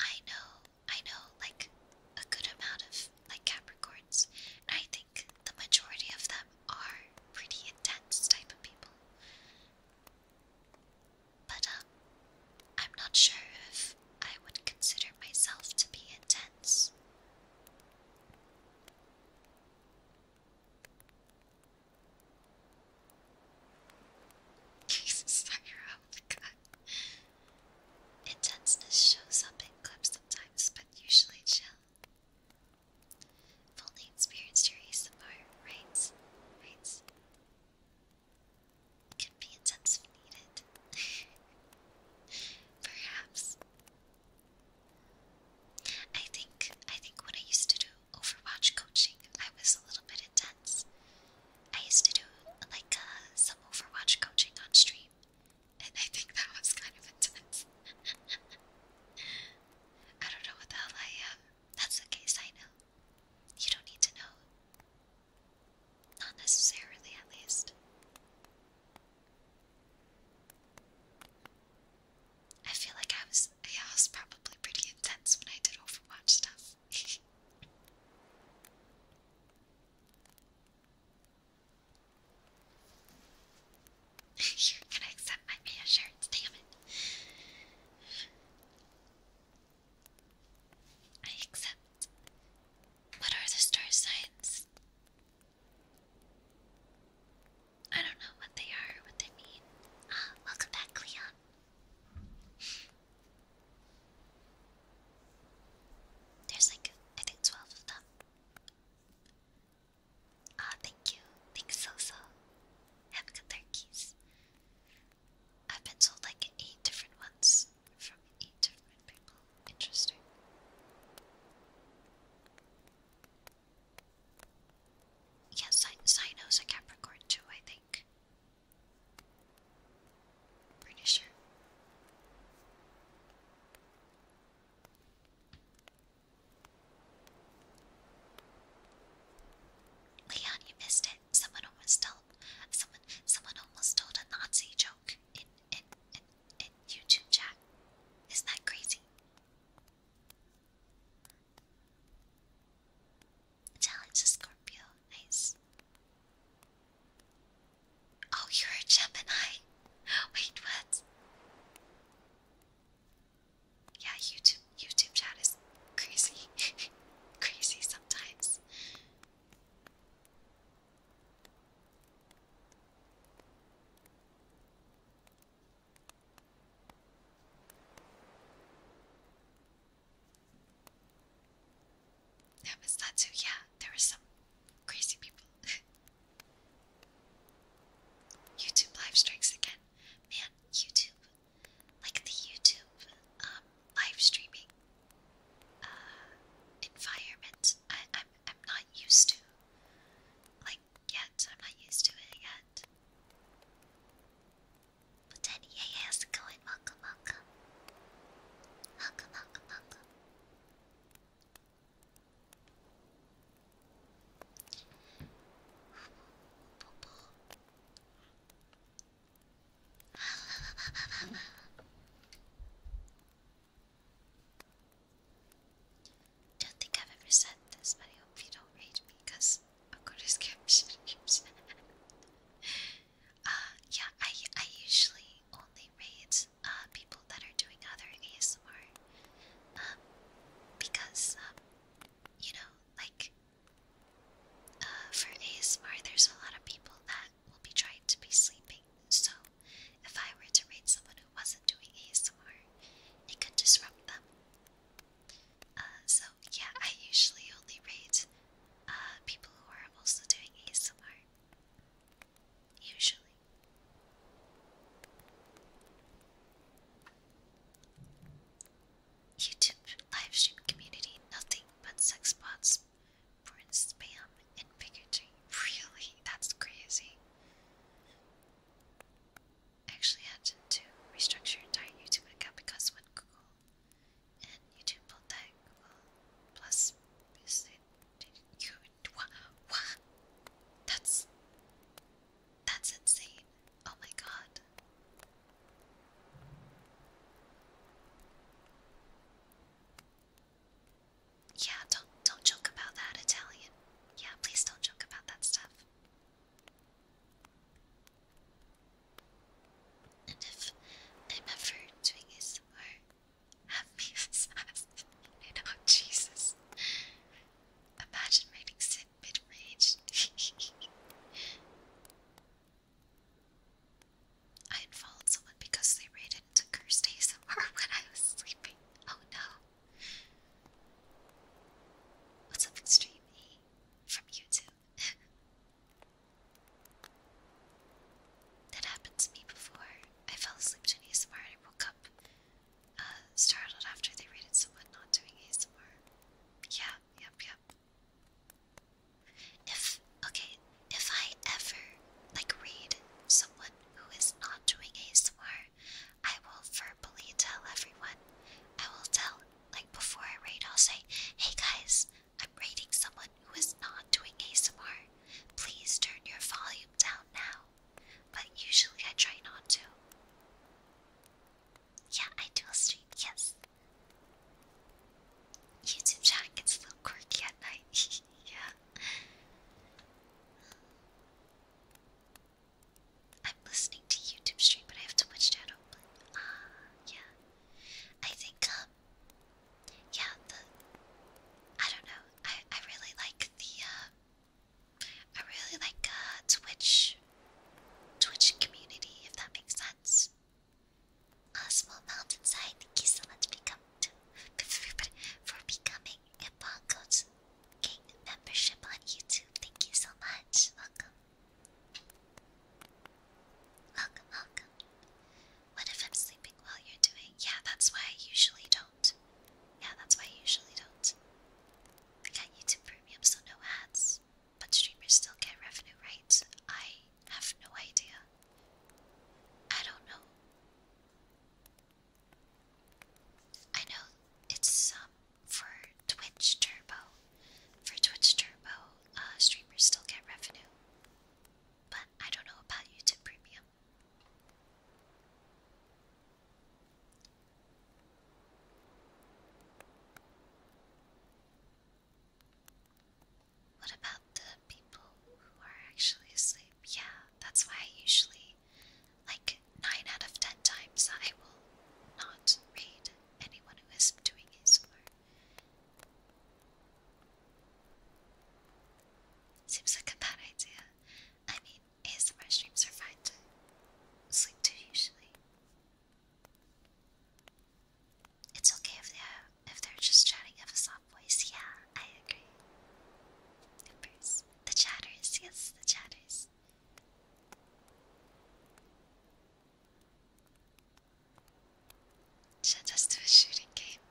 I know I know like a good amount of like Capricorns, and I think the majority of them are pretty intense type of people. But um, I'm not sure if I would consider myself to be intense. Jesus, fire out oh the gun. Intenseness shows up in clips sometimes, but usually chill. only experienced your ASMR, right? Right? It can be intense needed. (laughs) Perhaps. I think I think when I used to do Overwatch coaching, I was a little bit intense. I used to do like uh, some Overwatch coaching on stream, and I think that was kind of intense. (laughs) I don't know what the hell I am. That's the case, I know. You don't need to know. Not necessarily, at least. I feel like I was, yeah, I was probably pretty intense when I did Overwatch stuff. You're (laughs) gonna accept my reassurance, damn it. I accept. What are the star signs? I don't know what they are, what they mean. Ah, welcome back, Cleon. There's like, I think 12 of them. Ah, thank you. Thanks, so so. Have good turkeys. I've been told like eight different ones from eight different people. Interesting. Yeah, Sino's a Capricorn too, I think. Pretty sure. Leon, you missed it. Someone almost told someone someone almost told a Nazi joke in in in, in YouTube chat. Isn't that crazy? Challenge a Scorpio, nice. Oh, you're a Gemini. Wait, what? Yeah, YouTube YouTube chat is crazy, (laughs) crazy sometimes. That was that too. Yeah, there were some crazy people. (laughs) YouTube live streams again. Man, YouTube. Like the YouTube um, live streaming uh, environment, I'm, I'm not used to. Like, yet. I'm not used to it yet. But then, yeah, yeah, how's going? Welcome, don't think I've ever said this, but I hope you don't rate me because I'll go to Uh Yeah, I, I usually only rate uh, people that are doing other ASMR um, because, um, you know, like, uh, for ASMR, there's a lot of people that will be trying to be sleeping. So, if I were to rate someone wasn't doing ASMR, it could disrupt them. Uh, so yeah, I usually only rate uh, people who are also doing ASMR. Usually. YouTube livestream community, nothing but sex bots, porn spam, and bigotry. (laughs) Really? That's crazy actually had to, restructure your entire YouTube account because when Google and YouTube pulled that Google Plus, you what? That's that's insane! Oh my god! Yeah, don't don't joke about that Italian. Yeah, please don't joke about that stuff. And if I'm ever doing this more, have me as you Jesus. Imagine reading Sid rage. (laughs) I unfollowed someone because they raided into cursed ASMR when I was sleeping. Oh no. What's up, Extreme E from YouTube? that happened to me before. I fell asleep to an ASMR and I woke up uh, startled after they rated someone not doing ASMR. Yeah, yep, yep. If, okay, if I ever, like, read someone who is not doing smart. I will verbally tell everyone. I will tell, like before I raid, I'll say, hey guys, I'm raiding someone who is not doing ASMR. Please turn your volume down now. But usually I try not to. Yeah, I do a stream, yes. YouTube chat gets a little quirky at night. (laughs) yeah. I'm listening to YouTube stream, but I have too much chat open. Ah, uh, yeah. I think, um, yeah, the, I don't know. I, I really like the, uh, I really like, uh, Twitch, Twitch community, if that makes sense. A small mountainside, thank you so much for, becoming a Pongo's gained membership on YouTube. Thank you so much. Welcome. Welcome, welcome. What if I'm sleeping while you're doing? Yeah, that's why I usually don't. Yeah, that's why I usually don't. got YouTube Premium, so no ads. But streamers still get revenue, right? I have no idea. I don't know. I know it's um for Twitch Turbo. For Twitch Turbo, uh, streamers still get revenue. But I don't know about YouTube Premium. What about the people who are actually asleep? Yeah, that's why I usually like nine out of ten times I will not read anyone who is doing his work. Seems like a bad idea. I mean, ASMR streams are fine to sleep to usually. It's okay if they're if they're just chatting of a soft voice. Yeah, I agree. The chatters, yes, the chatters. Send us to a shooting game.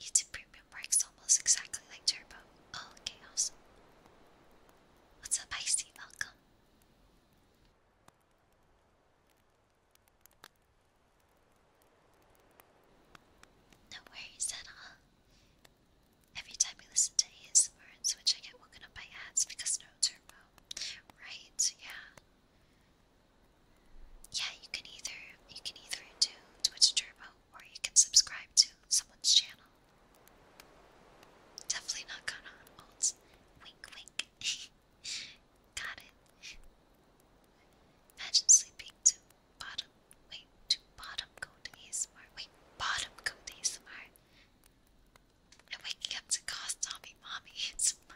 YouTube Premium works almost exactly like Turbo. Oh, chaos. What's up, Icy? Welcome. No worries at all. Every time I listen to ASMR and Switch, I get woken up by ads because no turbo. Right? Yeah. Yeah, you can either you can either do Twitch Turbo or you can subscribe to someone's channel. Definitely not gonna old. Wink, wink. (laughs) Got it. Imagine sleeping too bottom, wait, to bottom coat ASMR, wait, bottom coat ASMR. I'm waking up to call zombie mommy ASMR.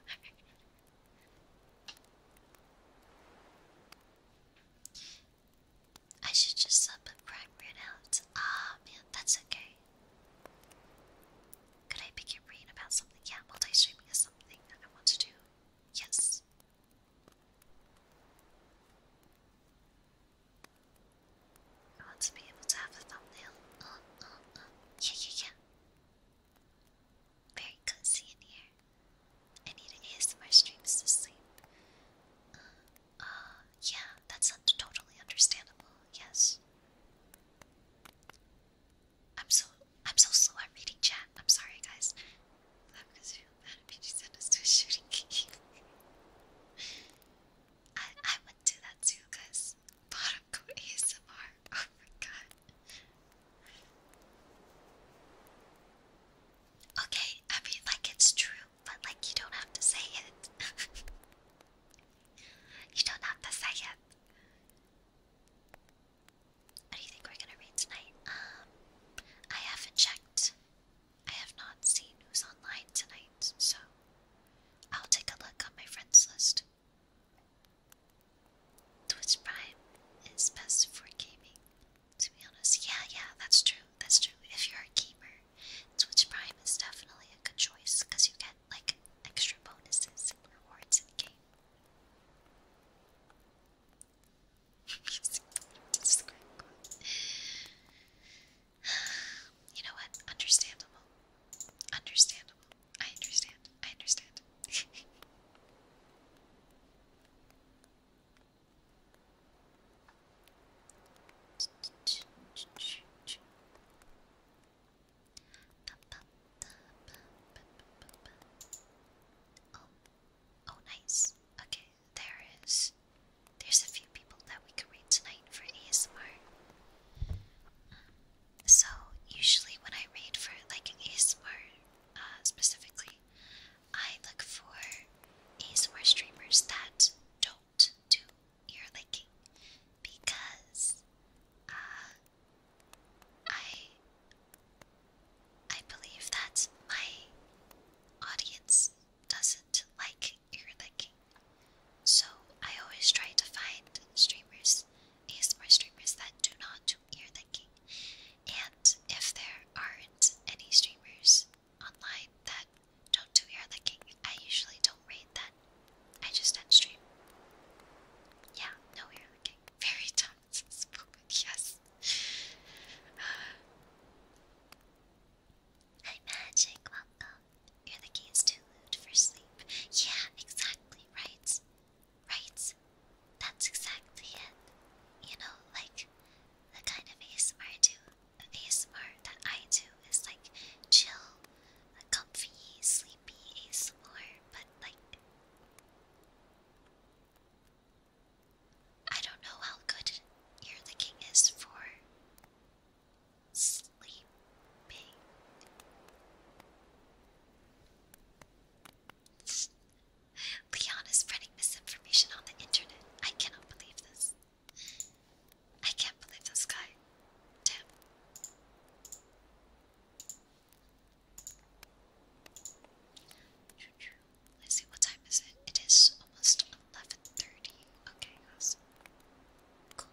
I should just sub a prime right out. Ah, man, that's okay. Could I pick your brain about something? Yeah, multi-streaming is something I want to do. Yes. I want to be able to have a thumbnail. Uh, uh, uh. Yeah, yeah, yeah. Very cozy in here. I need an ASMR streams to sleep. yeah, that's un totally understandable. Yes. I'm so I'm so slow at reading chat. I'm sorry, guys. I, would do that too, guys. Bottom go ASMR. Oh my god. Okay, I mean, like, it's true, but, like, you don't have to say it. you don't have to say it. What do you think we're gonna read tonight? Um, I haven't checked. I have not seen who's online tonight, so I'll take a look on my friends list. Twitch Prime is best for gaming, to be honest. Yeah, yeah, that's true. That's true. If you're a gamer, Twitch Prime is definitely a good choice because you get like extra bonuses and rewards in game. You know what? Understandable. Understandable. I understand. I understand. Oh, oh, nice. Okay there is there's a few people that we can read tonight for ASMR. So usually when I read for like ASMR uh, specifically, I look for ASMR streamers that don't do ear licking because uh, I I believe that my audience doesn't like ear licking. So I always try to find streamers, ASMR streamers that do not do ear licking. And if there aren't any streamers online that don't do ear licking, I usually don't rate that. I just don't stream. Yeah, no ear licking. (laughs) Very Thomas (laughs) yes. Hi, Magic, welcome. You're the key too lewd for sleep. Yeah, exactly, right? Right? That's exactly it. You know, like, the kind of ASMR I ASMR that I do is like chill, comfy, sleepy ASMR, but like, I don't know how good your looking is for sleeping. Leon is spreading misinformation on the internet. I cannot believe this. I can't believe this guy. Damn. Let's see, what time is it? It is almost 11.30. Okay, awesome. Cool.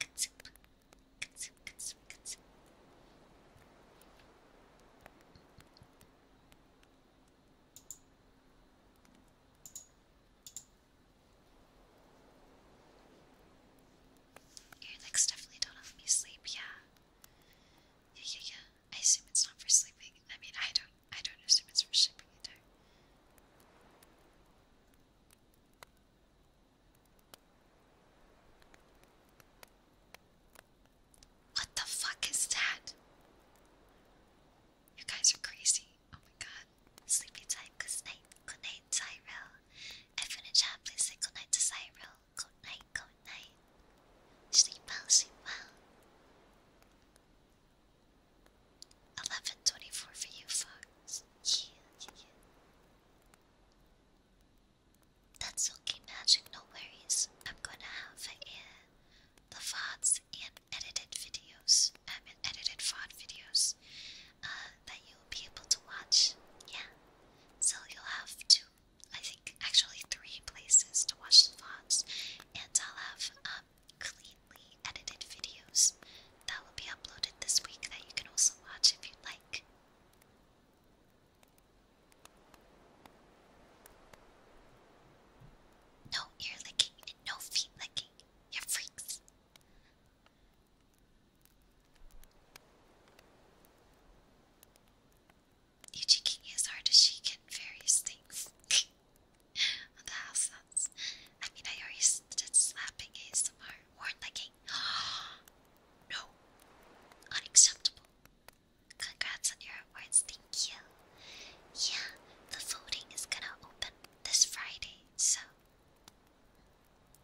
Consume, definitely don't help me sleep, yeah. Yeah, yeah, yeah. I assume it's not for sleeping. I mean, I don't I don't assume it's for shipping either. What the fuck is that? You guys are crazy. Oh my god. Sleepy time, good night, good night, Cyril. Everyone in chat, please say good night to Cyril. Good night, good night. Sleep well, sleep well. Eleven twenty four for you, Fox. Yeah, That's okay, Magic. No worries. I'm gonna have uh, the VODs and edited videos. I mean, edited VOD videos uh, that you'll be able to watch. Yeah. So you'll have to. I think, actually three places to watch the VODs, and I'll have um, cleanly edited videos that will be uploaded this week that you can also watch if you'd like. No ear licking no feet licking. you freaks. Yuji is hard as she can various things. (laughs) on I mean, I already did slapping ASMR, worn legging. (gasps) no, unacceptable. Congrats on your awards, thank you. Yeah, the voting is gonna open this Friday, so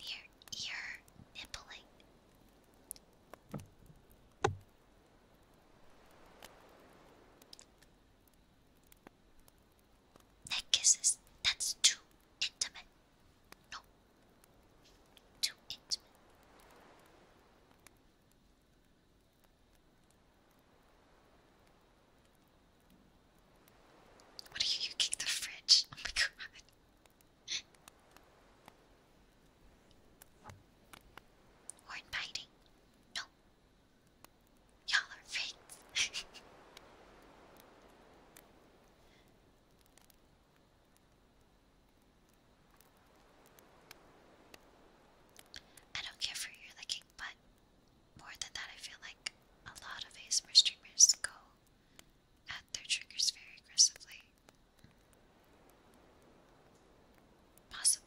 you're you Neck kisses, that's too intimate. No, too intimate. What do you, you the fridge? Oh my god. Horn No. Y'all are fakes. (laughs) I don't care for your licking, but more than that, I feel like a lot of ASMR streamers go at their triggers very aggressively. Possibly.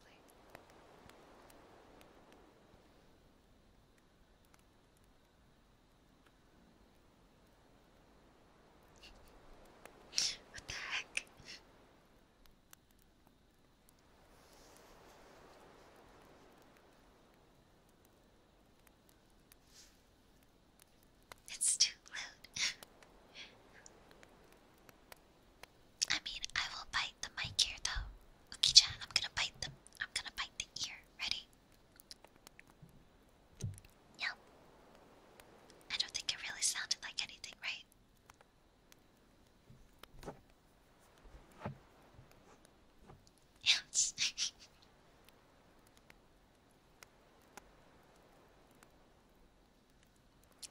what the heck? It's too loud. I mean, I will bite the mic here though. Ukicha, I'm gonna bite the I'm gonna bite the ear. Ready? Yep. I don't think it really sounded like anything, right? Yes. (laughs)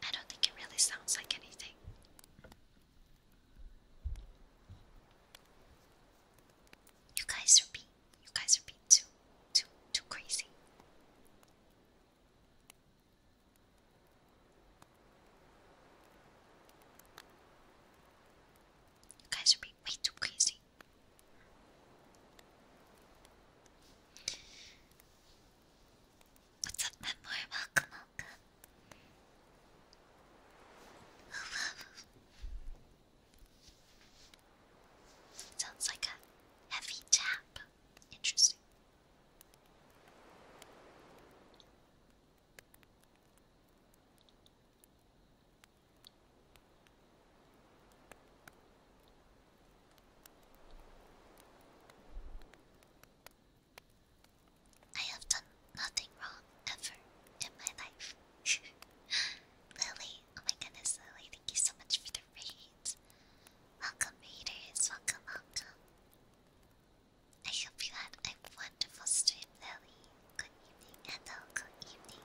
I don't think it really sounds like anything. You guys are being you guys are being too too too crazy. You guys are being way too crazy. What's up, Memoir? Welcome (laughs) Sounds like a heavy tap. Interesting. I have done nothing wrong ever in my life. (laughs) Lily, oh my goodness, Lily, thank you so much for the raid. Welcome, readers, welcome, welcome. I hope you had a wonderful stream, Lily. Good evening, hello, good evening.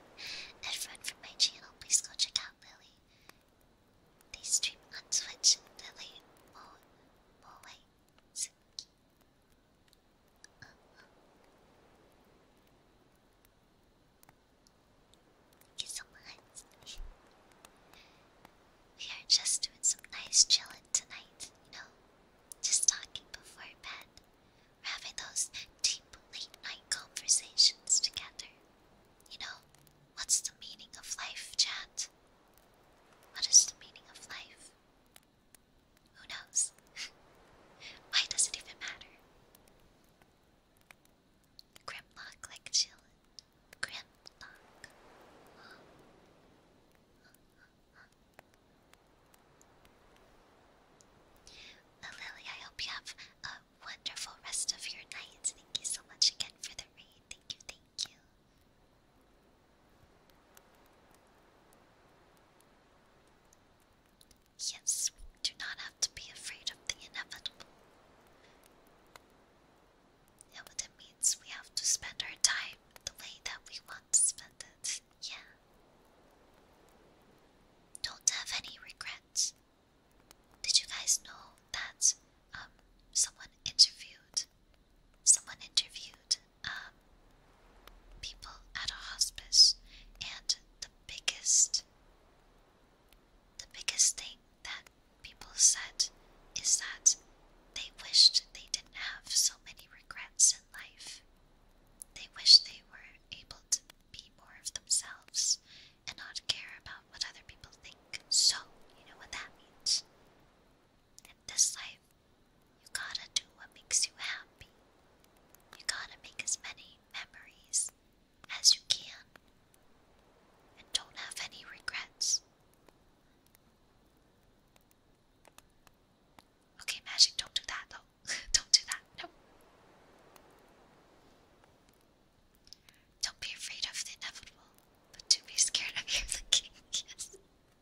Everyone from my channel, please go check out Lily. They stream on Twitch, Lily Mo Moe Suki. Thank you so much. we are just doing some nice chilling tonight, you know? Just talking before bed. having those deep late night conversations together. You know, what's the meaning of life, chat? What is the meaning of life? Who knows? Why does it even matter? Grimlock like chill. Grimlock. Lily, I hope you have a wonderful rest of your night. Thank you so much again for the raid. Thank you, thank you. Yes, we do not have to be afraid of the inevitable. Yeah, but it means we have to spend our time the way that we want to spend it. Yeah. Don't have any regrets. Did you guys know that um someone interviewed someone interviewed uh, people at a hospice, and the biggest, the biggest thing that people said is that they wished they didn't have so many regrets in life. They wish they were able to be more of themselves and not care about what other people think. So, you know what that means. this life, you gotta do what makes you happy. You gotta make as many memories as you can. And don't have any regrets. Okay, Magic, don't do that though. (laughs) don't do that. No. Don't be afraid of the inevitable, but do be scared of your (laughs) looking